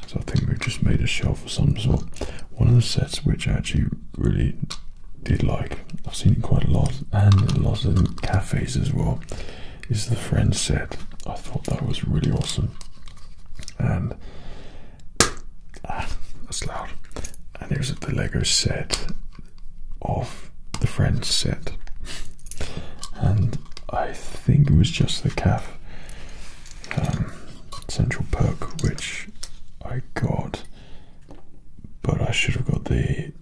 So I think we've just made a shelf of some sort. One of the sets which actually really did like, I've seen it quite a lot, and lots of cafes as well, is the Friend set. I thought that was really awesome. And ah, that's loud. And here's the Lego set of the Friend set. And I think it was just the calf um, central perk which I got but I should have got the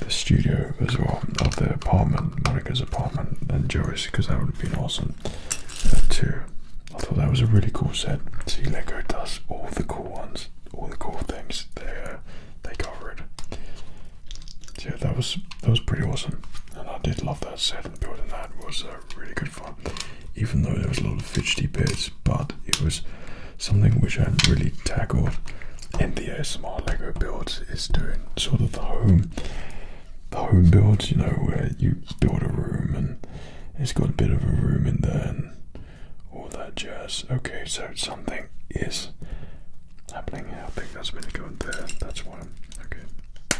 the studio as well of the apartment, Monica's apartment, and Joey's because that would have been awesome uh, too. I thought that was a really cool set. See, Lego does all the cool ones, all the cool things. They uh, they cover it. yeah, that was that was pretty awesome, and I did love that set. And building that was a really good even though there was a lot of fidgety bits, but it was something which I really tackled in the ASMR Lego builds is doing sort of the home the home builds, you know, where you build a room and it's got a bit of a room in there and all that jazz. Okay, so something is happening here. I think that's going to go there. That's one. Okay.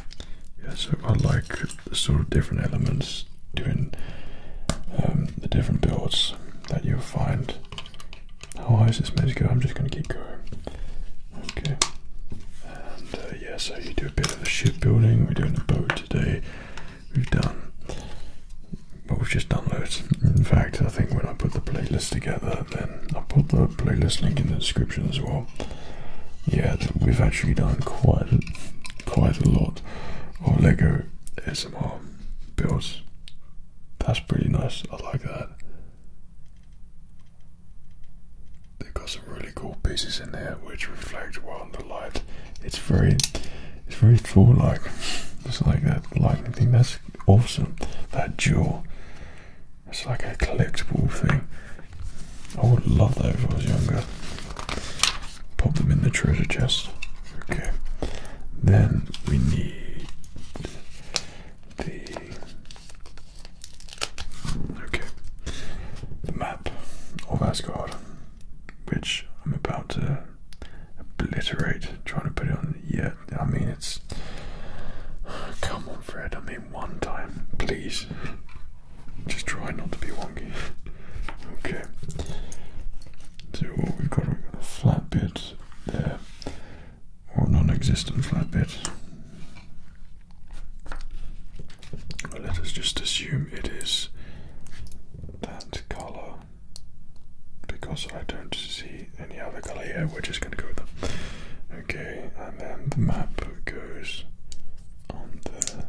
Yes, so I like sort of different elements doing um, the different builds that you'll find. How high is this meant to go? I'm just going to keep going. Okay. And uh, yeah, so you do a bit of the ship building. We're doing a boat today. We've done. but we've just done loads. In fact, I think when I put the playlist together, then I'll put the playlist link in the description as well. Yeah, we've actually done quite quite a lot of Lego S M R builds. That's pretty nice, I like that. They've got some really cool pieces in there which reflect well in the light. It's very it's very floor like. It's like that lightning thing. That's awesome. That jewel. It's like a collectible thing. I would love that if I was younger. Put them in the treasure chest. Okay. Then we need the okay the map of Asgard, which I'm about to obliterate. Trying to put it on yet. Yeah, I mean it's. Come on, Fred. I mean one time, please. Just try not to be wonky. okay. So what we've got, we've got a flat bit there, or non-existent flat bit. Well, let us just assume it is that colour, because I don't see any other colour here. We're just going to go with that. Okay, and then the map goes on the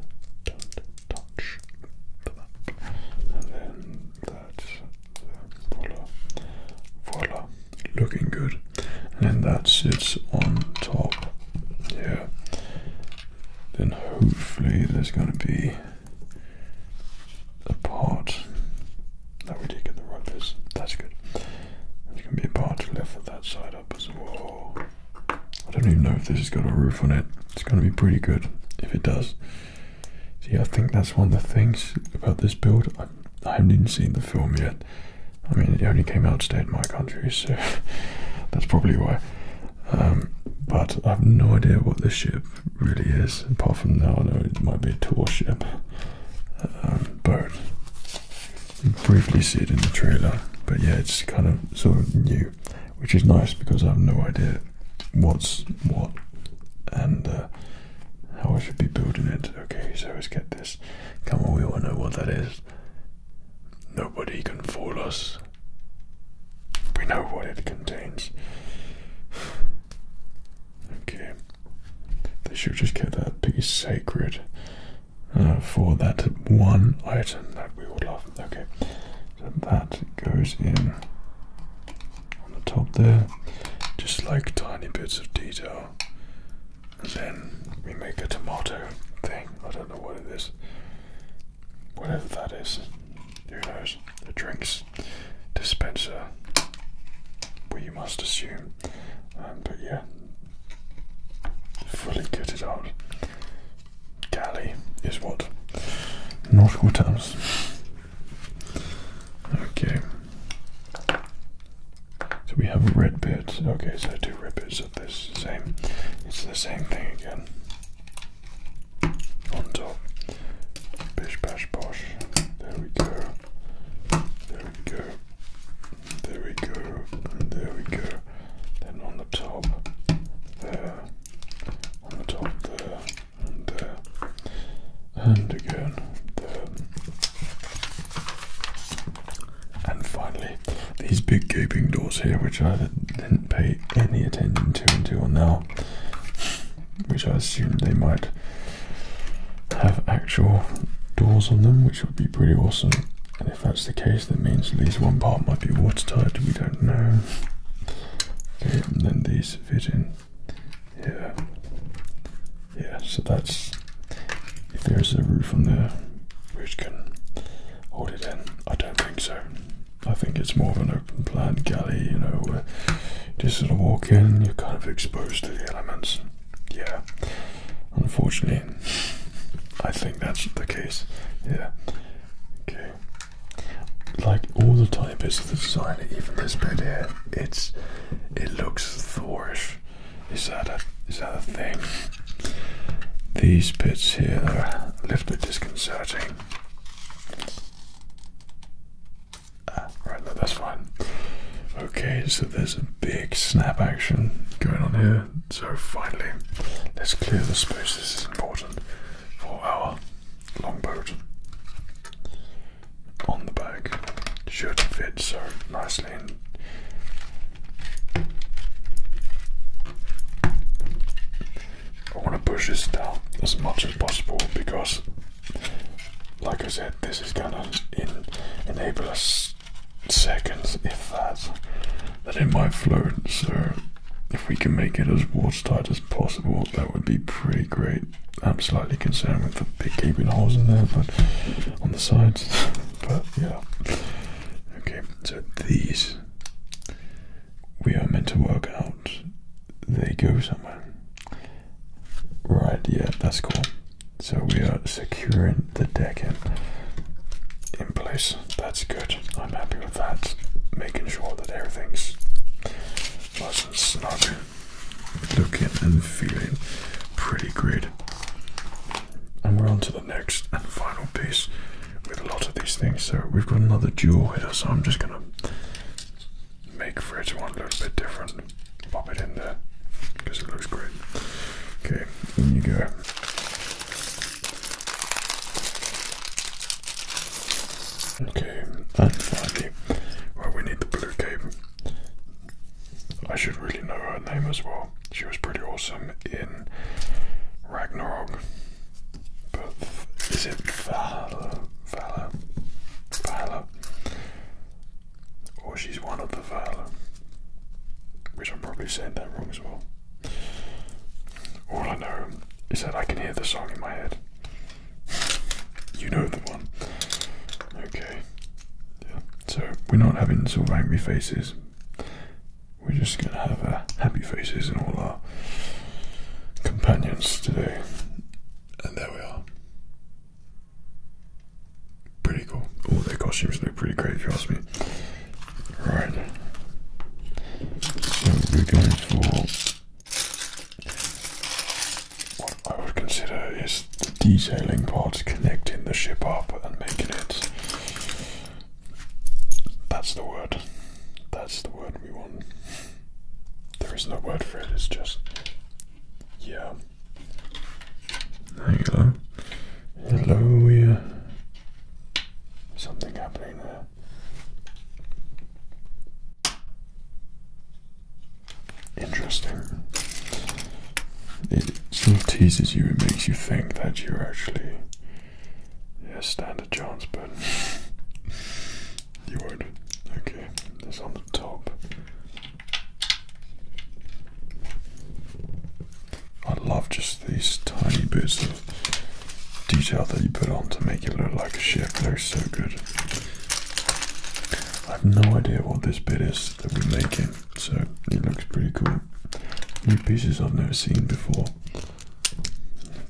and then that's voila, voila, looking good. And that sits on top here. Then hopefully there's going to be a part. No, we did get the right piece. That's good. There's going to be a part to lift that side up as well. I don't even know if this has got a roof on it. It's going to be pretty good if it does. See, I think that's one of the things about this build. I, haven't even seen the film yet. I mean, it only came out today in my country, so that's probably why. Um, but I have no idea what this ship really is, apart from now I know it might be a tour ship. Um, boat. briefly see it in the trailer, but yeah, it's kind of sort of new which is nice because I have no idea what's what and uh, how I should be building it. Okay, so let's get this. Come on, we all know what that is. Nobody can fool us. We know what it contains. Okay. They should just keep that piece sacred uh, for that one item that we would love. Okay. So that goes in on the top there, just like tiny bits of detail. And then we make a tomato thing. I don't know what it is. Whatever that is. Who knows? The drinks dispenser. We must assume. Um, but yeah. Fully kitted out galley is what? Nautical terms. Okay. So we have a red bit. Okay, so two red bits of this same. It's the same thing again. On top. Bish bash bosh. There we go. There we go. There we go. there we go. Then on the top. There and again and finally these big gaping doors here which I didn't pay any attention to until now which I assume they might have actual doors on them which would be pretty awesome and if that's the case that means at least one part might be watertight we don't know and then these fit in here. Yeah, so that's if there's a roof on there which can hold it in. I don't think so. I think it's more of an open plan galley, you know, just sort of walk in, you're kind of exposed to the elements. Yeah, unfortunately, I think that's the case. Yeah, okay like all the time bits of the design, even this bit here, it's it looks Thorish. Is that a is that a thing? These bits here are a little bit disconcerting. Ah, right, that's fine. Okay, so there's a big snap action going on here. So finally, let's clear the space. This is important for our longboat on the back should fit so nicely I want to push this down as much as possible because, like I said, this is gonna enable us seconds, if that, that it might float. So if we can make it as watertight as possible, that would be pretty great. I'm slightly concerned with the big gaping holes in there, but on the sides, but yeah. Okay, so these we are meant to work out. They go somewhere. Right, yeah, that's cool. So we are securing the deck in in place. That's good. I'm happy that. Making sure that everything's nice and snug, looking and feeling pretty great. And we're on to the next and final piece with a lot of these things. So we've got another jewel here, so I'm just gonna make for each one a little bit different. Pop it in there because it looks great. Okay, in you go. Okay, and finally, well, we need the blue cape. I should really know her name as well. She was pretty awesome in Ragnarok. But is it Vala, Vala, Vala, Or she's one of the Valhalla? Which I'm probably saying that wrong as well. All I know is that I can hear the song in my head. You know the one. Okay. Yeah. So we're not having sort of angry faces. We're just gonna have uh, happy faces and all our companions today. And there we are. Pretty cool. Oh, their costumes look pretty great if you ask me. Right. So we're going for what I would consider is the detailing part, connecting the ship up and making it. That's the word. That's the word we want. There is no word for it, it's just. Yeah. There you go. Hello, yeah. Something happening there. Interesting. It sort of teases you, it makes you think that you're actually yeah, stand a chance, but you would. Okay, this on the top. I love just these tiny bits of detail that you put on to make it look like a ship. looks so good. I have no idea what this bit is that we're making, so it looks pretty cool. New pieces I've never seen before.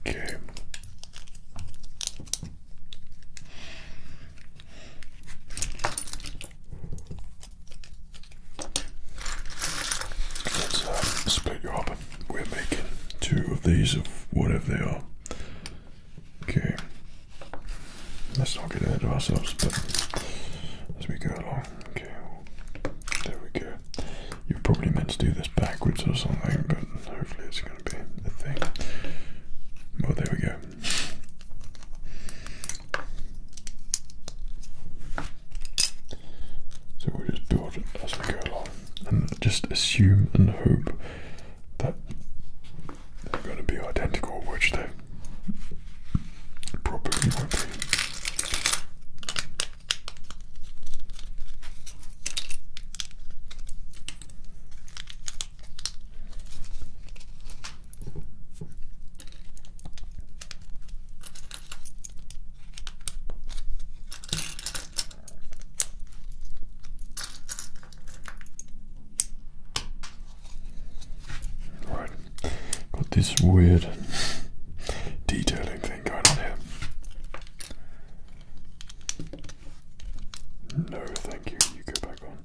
Okay. Let's uh, split you up. We're making two of these of whatever they are. Okay. Let's not get ahead of ourselves, but as we go along. Okay. There we go. You're probably meant to do this backwards or something, but hopefully it's going to be the thing. Well, there we go. So we'll just build it as we go along and just assume and hope that they're going to be identical, which they probably won't be got this weird detailing thing going on here. No, thank you. You go back on.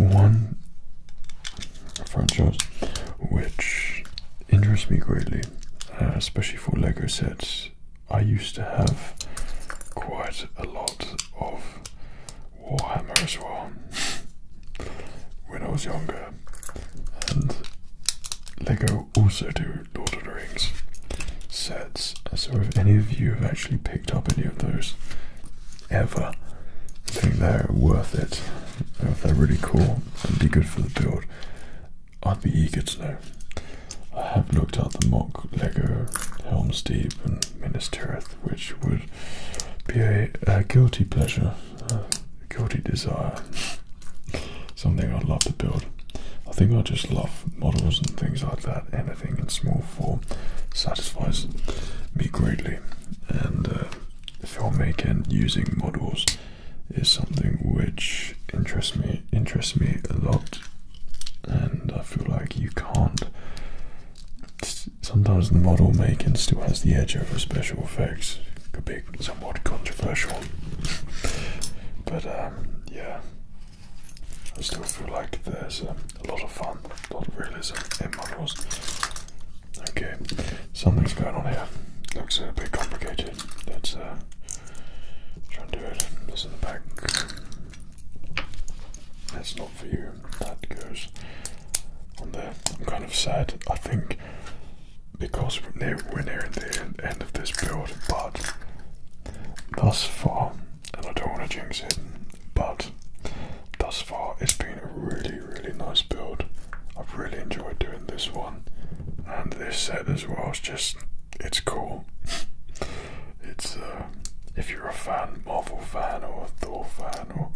Okay. One franchise which interests me greatly, uh, especially for Lego sets, I used to have quite a lot of Warhammer as well when I was younger, and Lego also do Lord of the Rings sets. So, if any of you have actually picked up any of those ever, I think they're worth it. They're really cool and be good for the build. I'd be eager to know. I have looked at the mock Lego Helm's Deep and Minas Tirith, which would be a, guilty pleasure, a guilty desire. Something I'd love to build. I think I just love models and things like that. Anything in small form satisfies me greatly. And uh, filmmaking using models is something which interests me interests me a lot and I feel like you can't sometimes the model making still has the edge over special effects. Could be somewhat controversial. but um, yeah. I still feel like there's um, a lot of fun, a lot of realism in models. Okay, something's going on here. Looks a bit complicated. Let's Try and do it. This in the back. That's not for you. That goes on there. I'm kind of sad. I think because we're near, we nearing the end of this build, but thus far, and I don't want to jinx it, but thus far it's been a really, really nice build. I've really enjoyed doing this one, and this set as well. It's just, it's cool. it's uh, if you're a fan, Marvel fan, or a Thor fan, or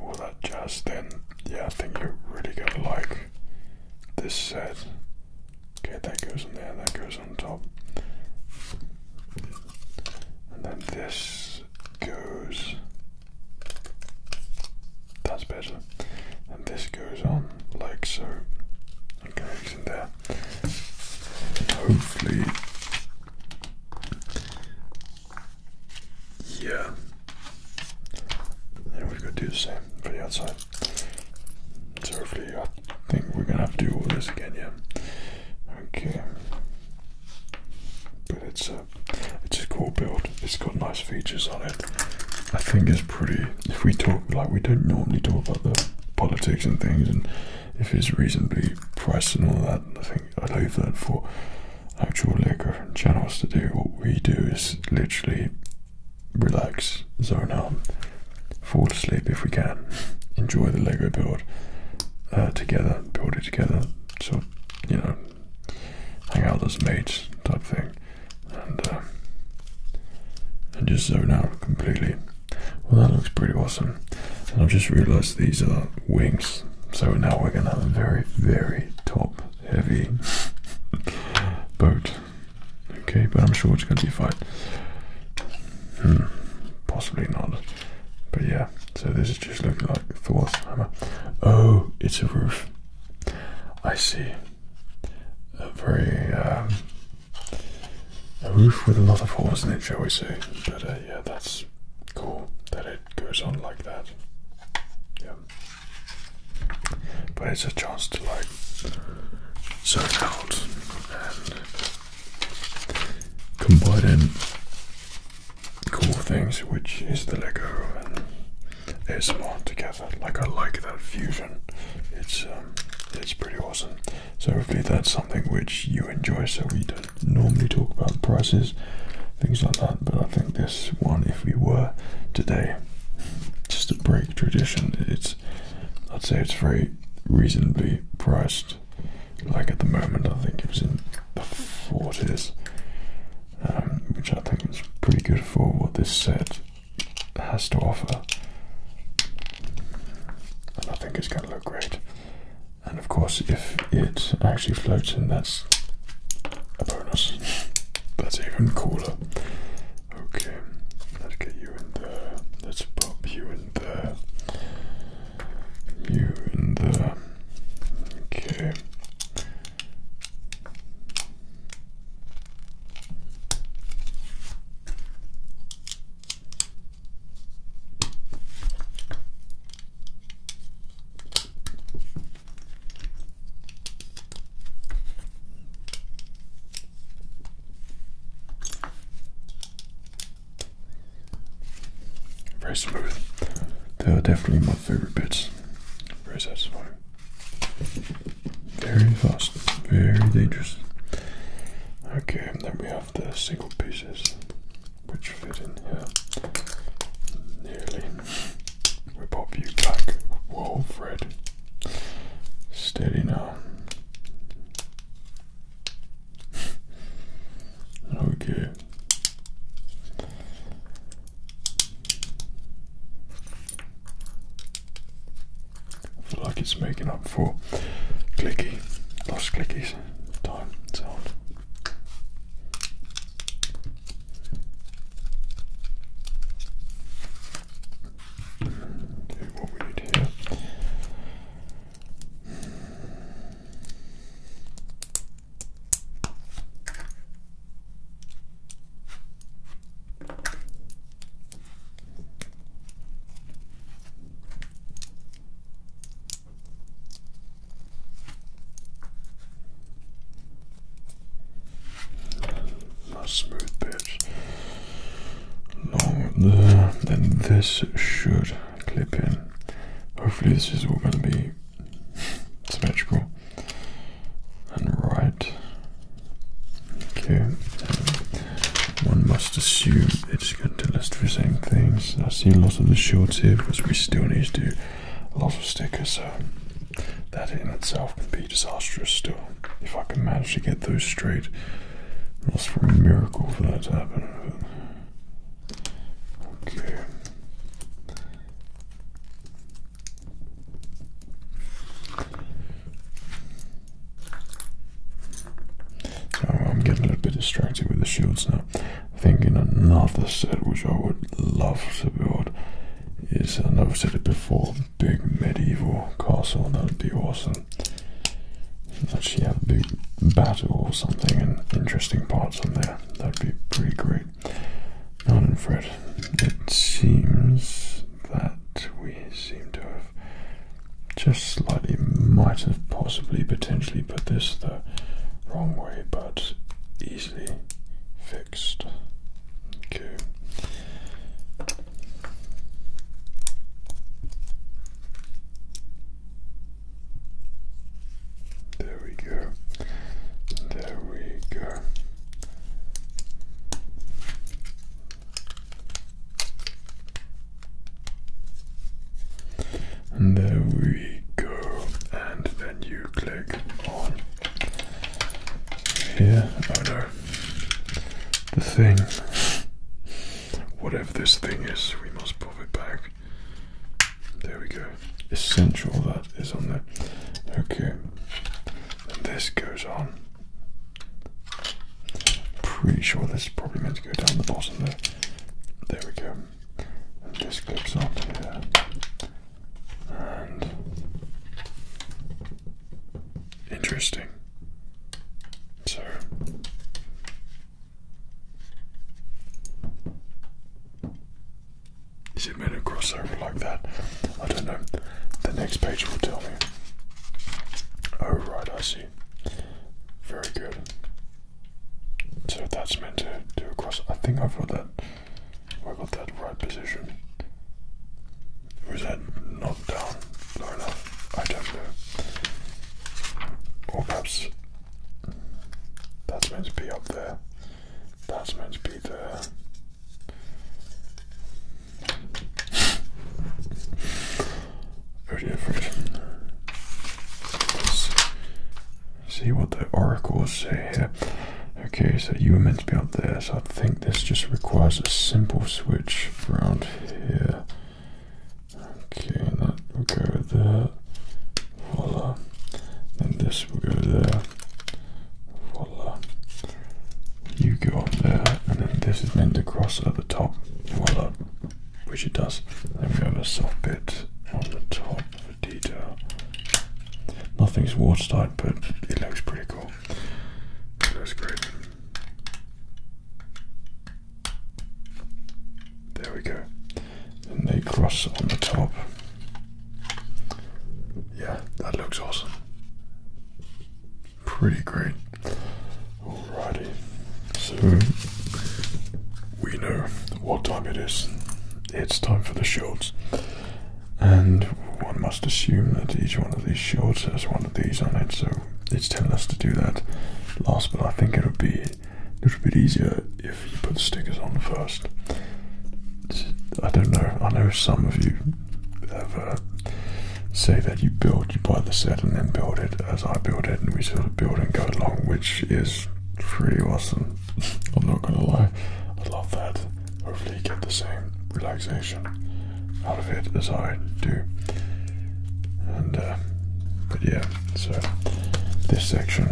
all that jazz, then yeah, I think you're really gonna like this set. Okay, that goes on there, that goes on top, and then this goes. That's better, and this goes on like so hopefully, yeah. And we're gonna do the same for the outside. So hopefully, I think we're gonna have to do all this again, yeah. Okay. But it's a, it's a cool build. It's got nice features on it. I think it's pretty. If we talk like we don't normally talk about the politics and things, and if it's reasonably priced and all that, I think I leave that for actual Lego channels to do. What we do is literally relax, zone out, fall asleep if we can, enjoy the Lego build uh, together, build it together. So you know, hang out as mates type thing and uh, just zone out completely. Well, that looks pretty awesome. And I've just realized these are wings, so now we're gonna have a very, very top heavy boat. Okay, but I'm sure it's gonna be fine. Hmm, possibly not. But yeah, so this is just looking like Thor's hammer. Oh, it's a roof. I see. A very um, a roof with a lot of holes in it, shall we say? But uh, yeah, that's cool that it goes on like that. Yeah, but it's a chance to like zone out and combine in cool things, which is the Lego and ASMR together. Like I like that fusion. It's um, it's pretty awesome. So hopefully that's something which you enjoy. So we don't normally talk about prices, things like that. But I think this one, if we were today, just to break tradition, it's I'd say it's very reasonably priced. Like at the moment, I think it was in the forties, um, which I think is pretty good for what this set has to offer. And I think it's going to look great. And of course, if it actually floats in, that's a bonus. That's even cooler. Okay, let's get you in there. Let's pop you in there. You in there. Okay. Very smooth. They are definitely my favorite bits. Very satisfying. Very fast, very dangerous. Okay, then we have the single pieces which fit in here. Nearly. We pop you back. Whoa, Fred. Steady now. Okay. I feel like it's making up for clicky, lost clickies time sound. Do what we need here. Not smooth bits. Long there, then this should clip in. Hopefully, this is all going to be symmetrical and right. Okay, one must assume it's going to list the same things. I see a lot of the shorts here because we still need to do a lot of stickers, so that in itself can be disastrous still. If I can manage to get those straight, that's for a miracle for that to happen. Okay. I'm getting a little bit distracted with the shields now. Thinking another set which I would love to build is, and I've said it before, big medieval castle. That would be awesome. Actually have a big battle or something and interesting parts on there. That'd be pretty great. Not in Fred. It seems that we seem to have just slightly might have possibly potentially put this the wrong way, but easily fixed. Okay. There we go. There we go. And there we go. And then you click on here. Oh no. The thing. Whatever this thing is, we must pop it back. There we go. Essential that is on there. Okay. And this goes on. Pretty sure this is probably meant to go down the bottom there. There we go. this clips on interesting. is it meant to cross over like that? I don't know. The next page will tell me. Oh right, I see. Very good. So that's meant to do a cross. I think I've got that. I got that right position. Was that not down low I don't know. Or perhaps that's meant to be up there. That's meant to be there. Very different. see what the oracle says here. Okay, so you were meant to be up there, so I think this just requires a simple switch around here. Okay, and that will go there. Voila. And this will go there. Voila. You go up there, and then this is meant to cross the top. Uh, which it does. Then we have a soft bit on the top of the detail. Nothing's watertight, but it looks pretty cool. It looks great. There we go. And they cross on the top. Yeah, that looks awesome. Pretty great. Alrighty. So we know what time it is. It's time for the shorts. And one must assume that each one of these shorts has one of these on it, so it's telling us to do that last, but I think it would be a little bit easier if you put the stickers on first. I don't know, I know some of you have uh, say that you build, you buy the set and then build it as I build it, and we sort of build and go along, which is pretty awesome. I'm not gonna lie, I love that. Hopefully, get the same relaxation out of it as I do. And uh, but yeah, so this section,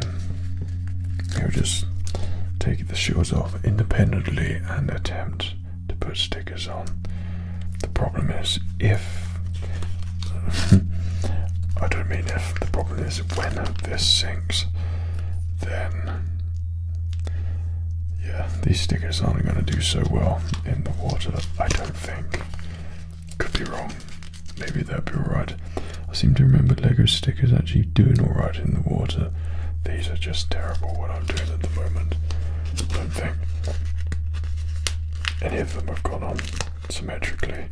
you just take the shoes off independently and attempt to put stickers on. The problem is if I don't mean if the problem is when this sinks, then yeah, these stickers aren't going to do so well in the water. I don't think. Could be wrong. Maybe that'd be alright. I seem to remember Lego stickers actually doing alright in the water. These are just terrible what I'm doing at the moment. don't think any of them have gone on symmetrically.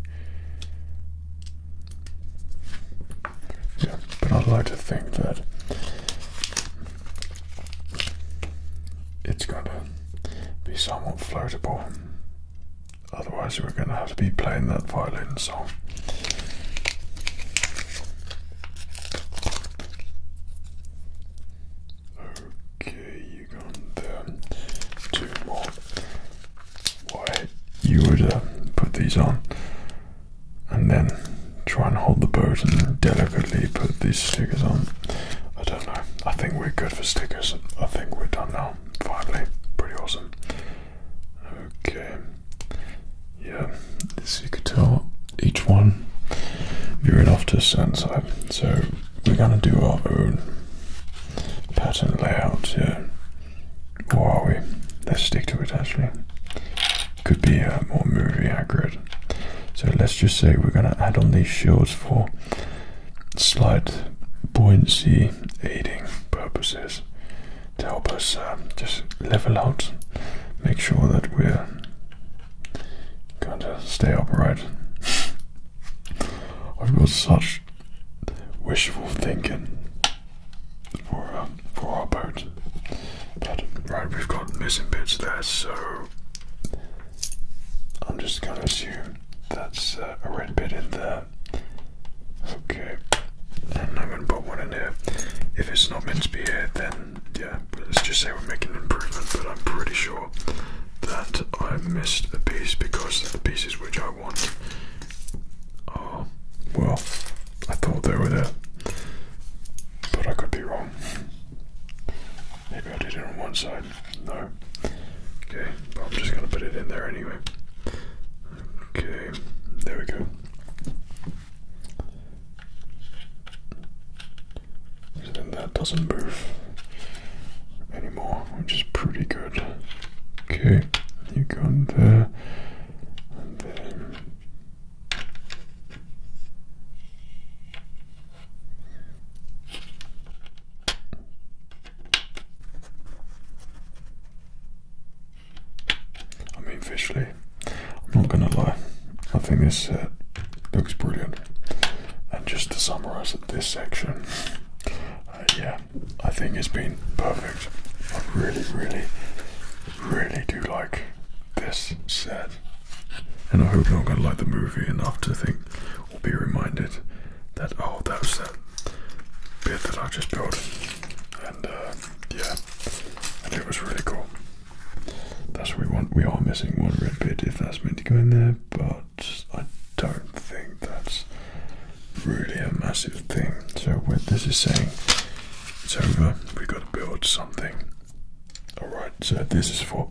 Yeah, but I'd like to think that it's going to be somewhat floatable. Otherwise, we're going to have to be playing that violin song. Oh. Okay, you got um, two more. Why you would uh, put these on and then try and hold the boat and delicately put these stickers on. I don't know. I think we're good for stickers. I think we're done now. Finally, pretty awesome. Okay. Yeah, as you could tell, each one you're in off to a Sandside. So we're going to do our own pattern layout yeah. Or are we? Let's stick to it actually. Could be uh, more movie accurate. So let's just say we're going to add on these shields for slight buoyancy aiding purposes to help us uh, just level out, make sure that we're going to stay upright. I've got such wishful thinking for um, for our boat. But right, we've got missing bits there, so I'm just gonna assume that's uh, a red bit in there. Okay, I'm gonna put one in there. If it's not meant to be here, then yeah, let's just say we're making an improvement. But I'm pretty sure that I missed a piece because the pieces which I want are, well, I thought they were there, but I could be wrong. Maybe I did it on one side. No. Okay, but I'm just going to put it in there anyway. Okay, there we go. So then that doesn't move anymore, which is pretty good. Okay, you go in there, I mean, visually, I'm not gonna lie. I think this set uh, looks brilliant. And just to summarise this section, uh, yeah, I think it's been perfect. I really, really, really do like this set. And I hope you're going to like the movie enough to think we'll be reminded that, oh, that was that bit that I just built. And uh, yeah, and it was really cool. That's what we want. We are missing one red bit if that's meant to go in there, but I don't think that's really a massive thing. So what this is saying, it's over, we've got to build something. Alright, so this is for,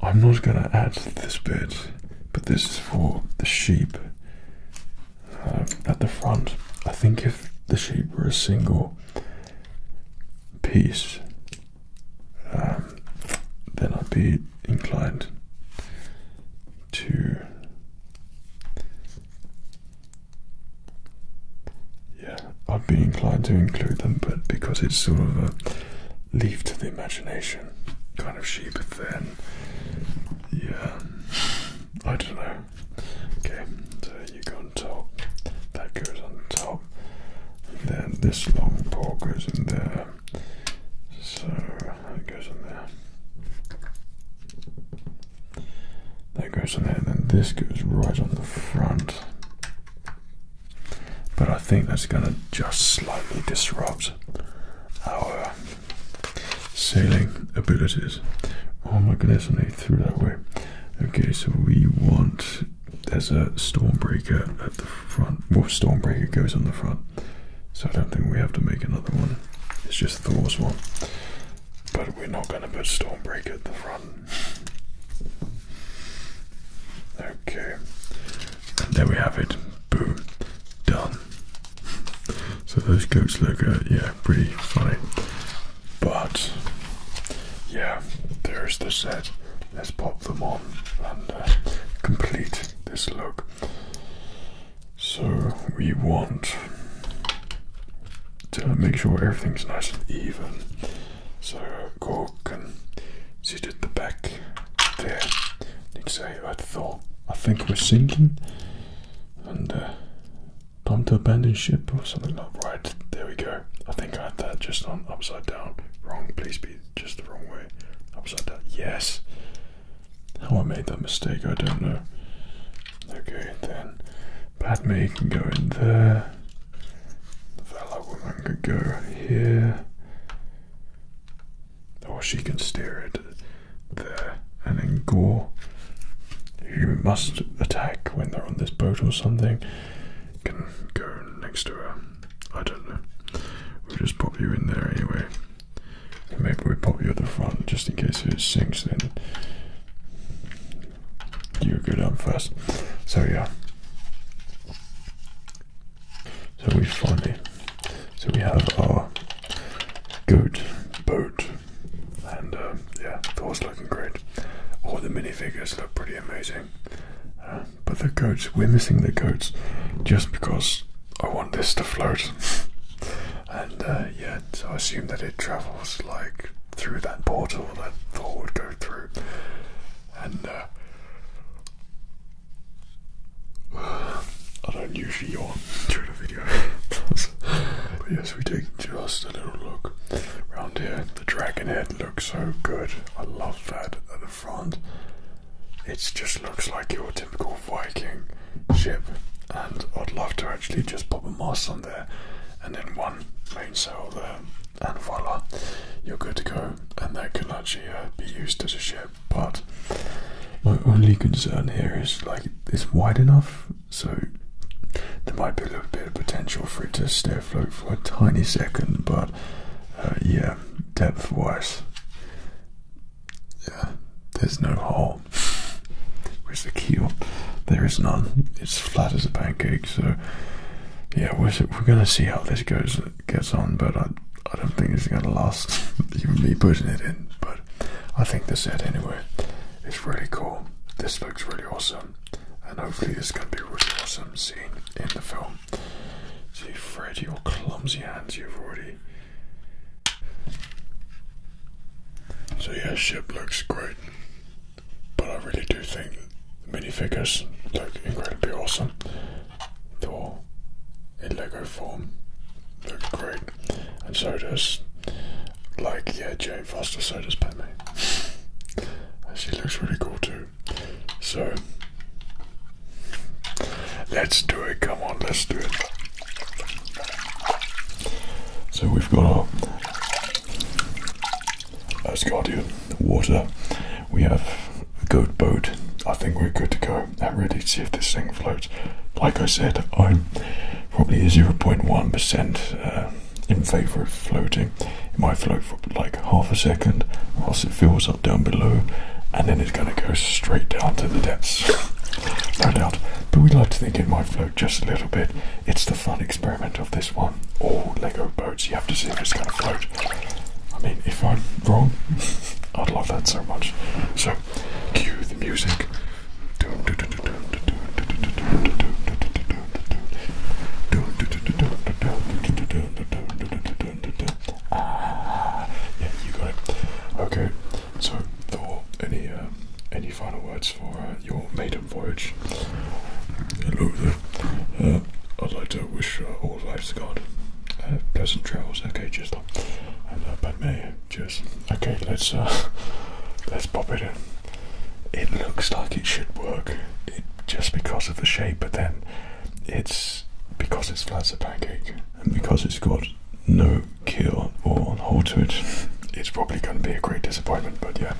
I'm not going to add this bit, but this is for the sheep um, at the front. I think if the sheep were a single piece, um, then I'd be inclined to yeah, I'd be inclined to include them, but because it's sort of a leave to the imagination kind of sheep, then yeah, I don't know. Okay, so you go on top, that goes on top, then this long pole goes in there. So that goes in there. That goes in there, and then this goes right on the front. But I think that's going to just slightly disrupt our sailing abilities. Oh my goodness, I need through that way. Okay, so we want there's a stormbreaker at the front. Well, Stormbreaker goes on the front. So I don't think we have to make another one. It's just Thor's one. But we're not going to put Stormbreaker at the front. Okay. And there we have it. Boom. Done. So those goats look, uh, yeah, pretty funny. But, yeah, there's the set. Let's pop them on and uh, complete this look. So we want to make sure everything's nice and even. So Cork and sit at the back there and say, I thought, I think we're sinking and uh, time to abandon ship or something like that. Right, there we go. I think I had that just on upside down. Wrong, please be just the wrong way, upside down. Yes. How I made that mistake, I don't know. Okay, then Padme can go in there. The Valor Woman could go here. Or she can steer it there. And then Gore, you must attack when they're on this boat or something, can go next to her. I don't know. We'll just pop you in there anyway. maybe we pop you at the front just in case if it sinks then you go down first. So yeah. So we finally so we have our goat boat and yeah, um, yeah, Thor's looking great. All the minifigures look pretty amazing. Uh, but the goats, we're missing the goats just because I want this to float. and uh, yeah, I assume that it travels like through that portal that Thor would go through. And uh, I don't usually yawn during a video. but yes, we take just a little look around here. The dragon head looks so good. I love that at the front. It just looks like your typical Viking ship, and I'd love to actually just pop a mast on there and then one mainsail there, and voila, you're good to go. And that can actually uh, be used as a ship, but my only concern here is like it's wide enough, so there might be a little bit of potential for it to stay afloat for a tiny second, but uh, yeah, depth wise, yeah, there's no hole. Where's the keel? There is none. It's flat as a pancake. So, yeah, we're gonna see how this goes gets on. But I I don't think it's gonna last. Even me putting it in. But I think the set anyway is really cool. This looks really awesome, and hopefully it's gonna be a really awesome scene in the film down. See, Fred, your clumsy hands, you've already. So, yeah, ship looks great. But I really do think the minifigures look incredibly awesome. Thor in Lego form look great. And so does, like, yeah, Jane Foster, so does Padme. And she looks really cool too. So, Let's do it. Come on, let's do it. So we've got our Asgardian water. We have a good boat. I think we're good to go. I'm ready see if this thing floats. Like I said, I'm probably 0.1% uh, in favor of floating. It might float for like half a second, whilst it fills down below, and then it's going to go straight down to the depths. No doubt. But we would like to think it might float just a little bit. It's the fun experiment of this one. All Lego boats, you have to see if it's going to float. I mean, if I'm wrong, I'd love that so much. So, cue the music. Ah, yeah, you got it. Okay, so Thor, any uh, any final words for uh, your maiden voyage? Hello there. Uh, I'd like to wish all the best lives God pleasant travels. Okay, cheers, Thor. And uh, Padme, cheers. Okay, let's let's pop it in. It looks like it should work, just because of the shape, but then it's because it's flat as a pancake and because it's got no kill or hold to it, it's probably going to be a great disappointment. But yeah,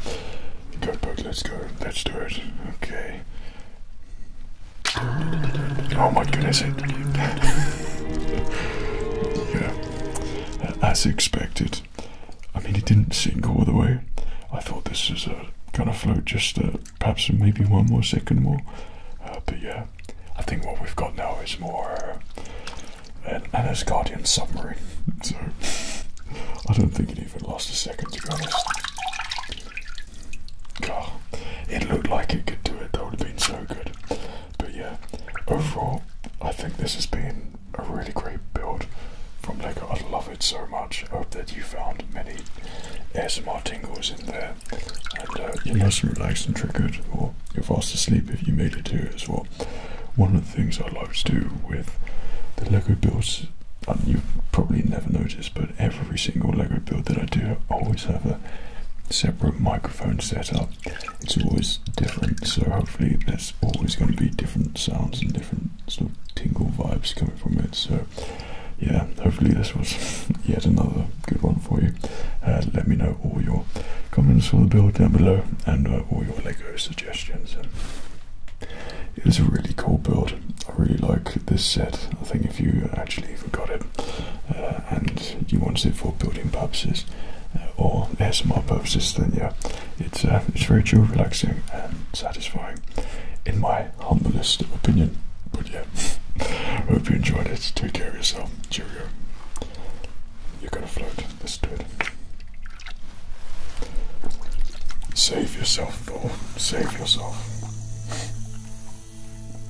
go bug, let's go, let's do it. Okay. Oh my goodness! It, yeah, as expected. I mean, it didn't sink all the way. I thought this was uh, going to float just perhaps maybe one more second more. Uh, but yeah, I think what we've got now is more uh, an Anasgardian submarine. so I don't think it even lost a second to be honest. God, it looked like it could do it. That would have been so good. But yeah, overall, I think this has been a really great build from Lego. I love it so much. I hope that you found many ASMR tingles in there and uh, you're nice relaxed and triggered, or you're fast asleep if you made it to it as well. One of the things I love to do with the Lego builds, and you probably never noticed, but every single Lego build that I do, I always have a separate microphone set up. It's always different, so hopefully there's always going to be different sounds and different sort tingle vibes coming from it. So yeah, hopefully this was yet another good one for you. Uh, let me know all your comments for the build down below and uh, all your Lego suggestions. It's a really cool build. I really like this set. I think if you actually even got it uh, and you want it for building purposes uh, or ASMR purposes, then yeah, it's it's very chill, relaxing, and satisfying, in my humblest opinion. But yeah, Hope you enjoyed it. Take care of yourself. Cheerio. You're gonna float. Let's do it. Save yourself, Thor. Save yourself.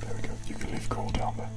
There we go. You can leave coal down there.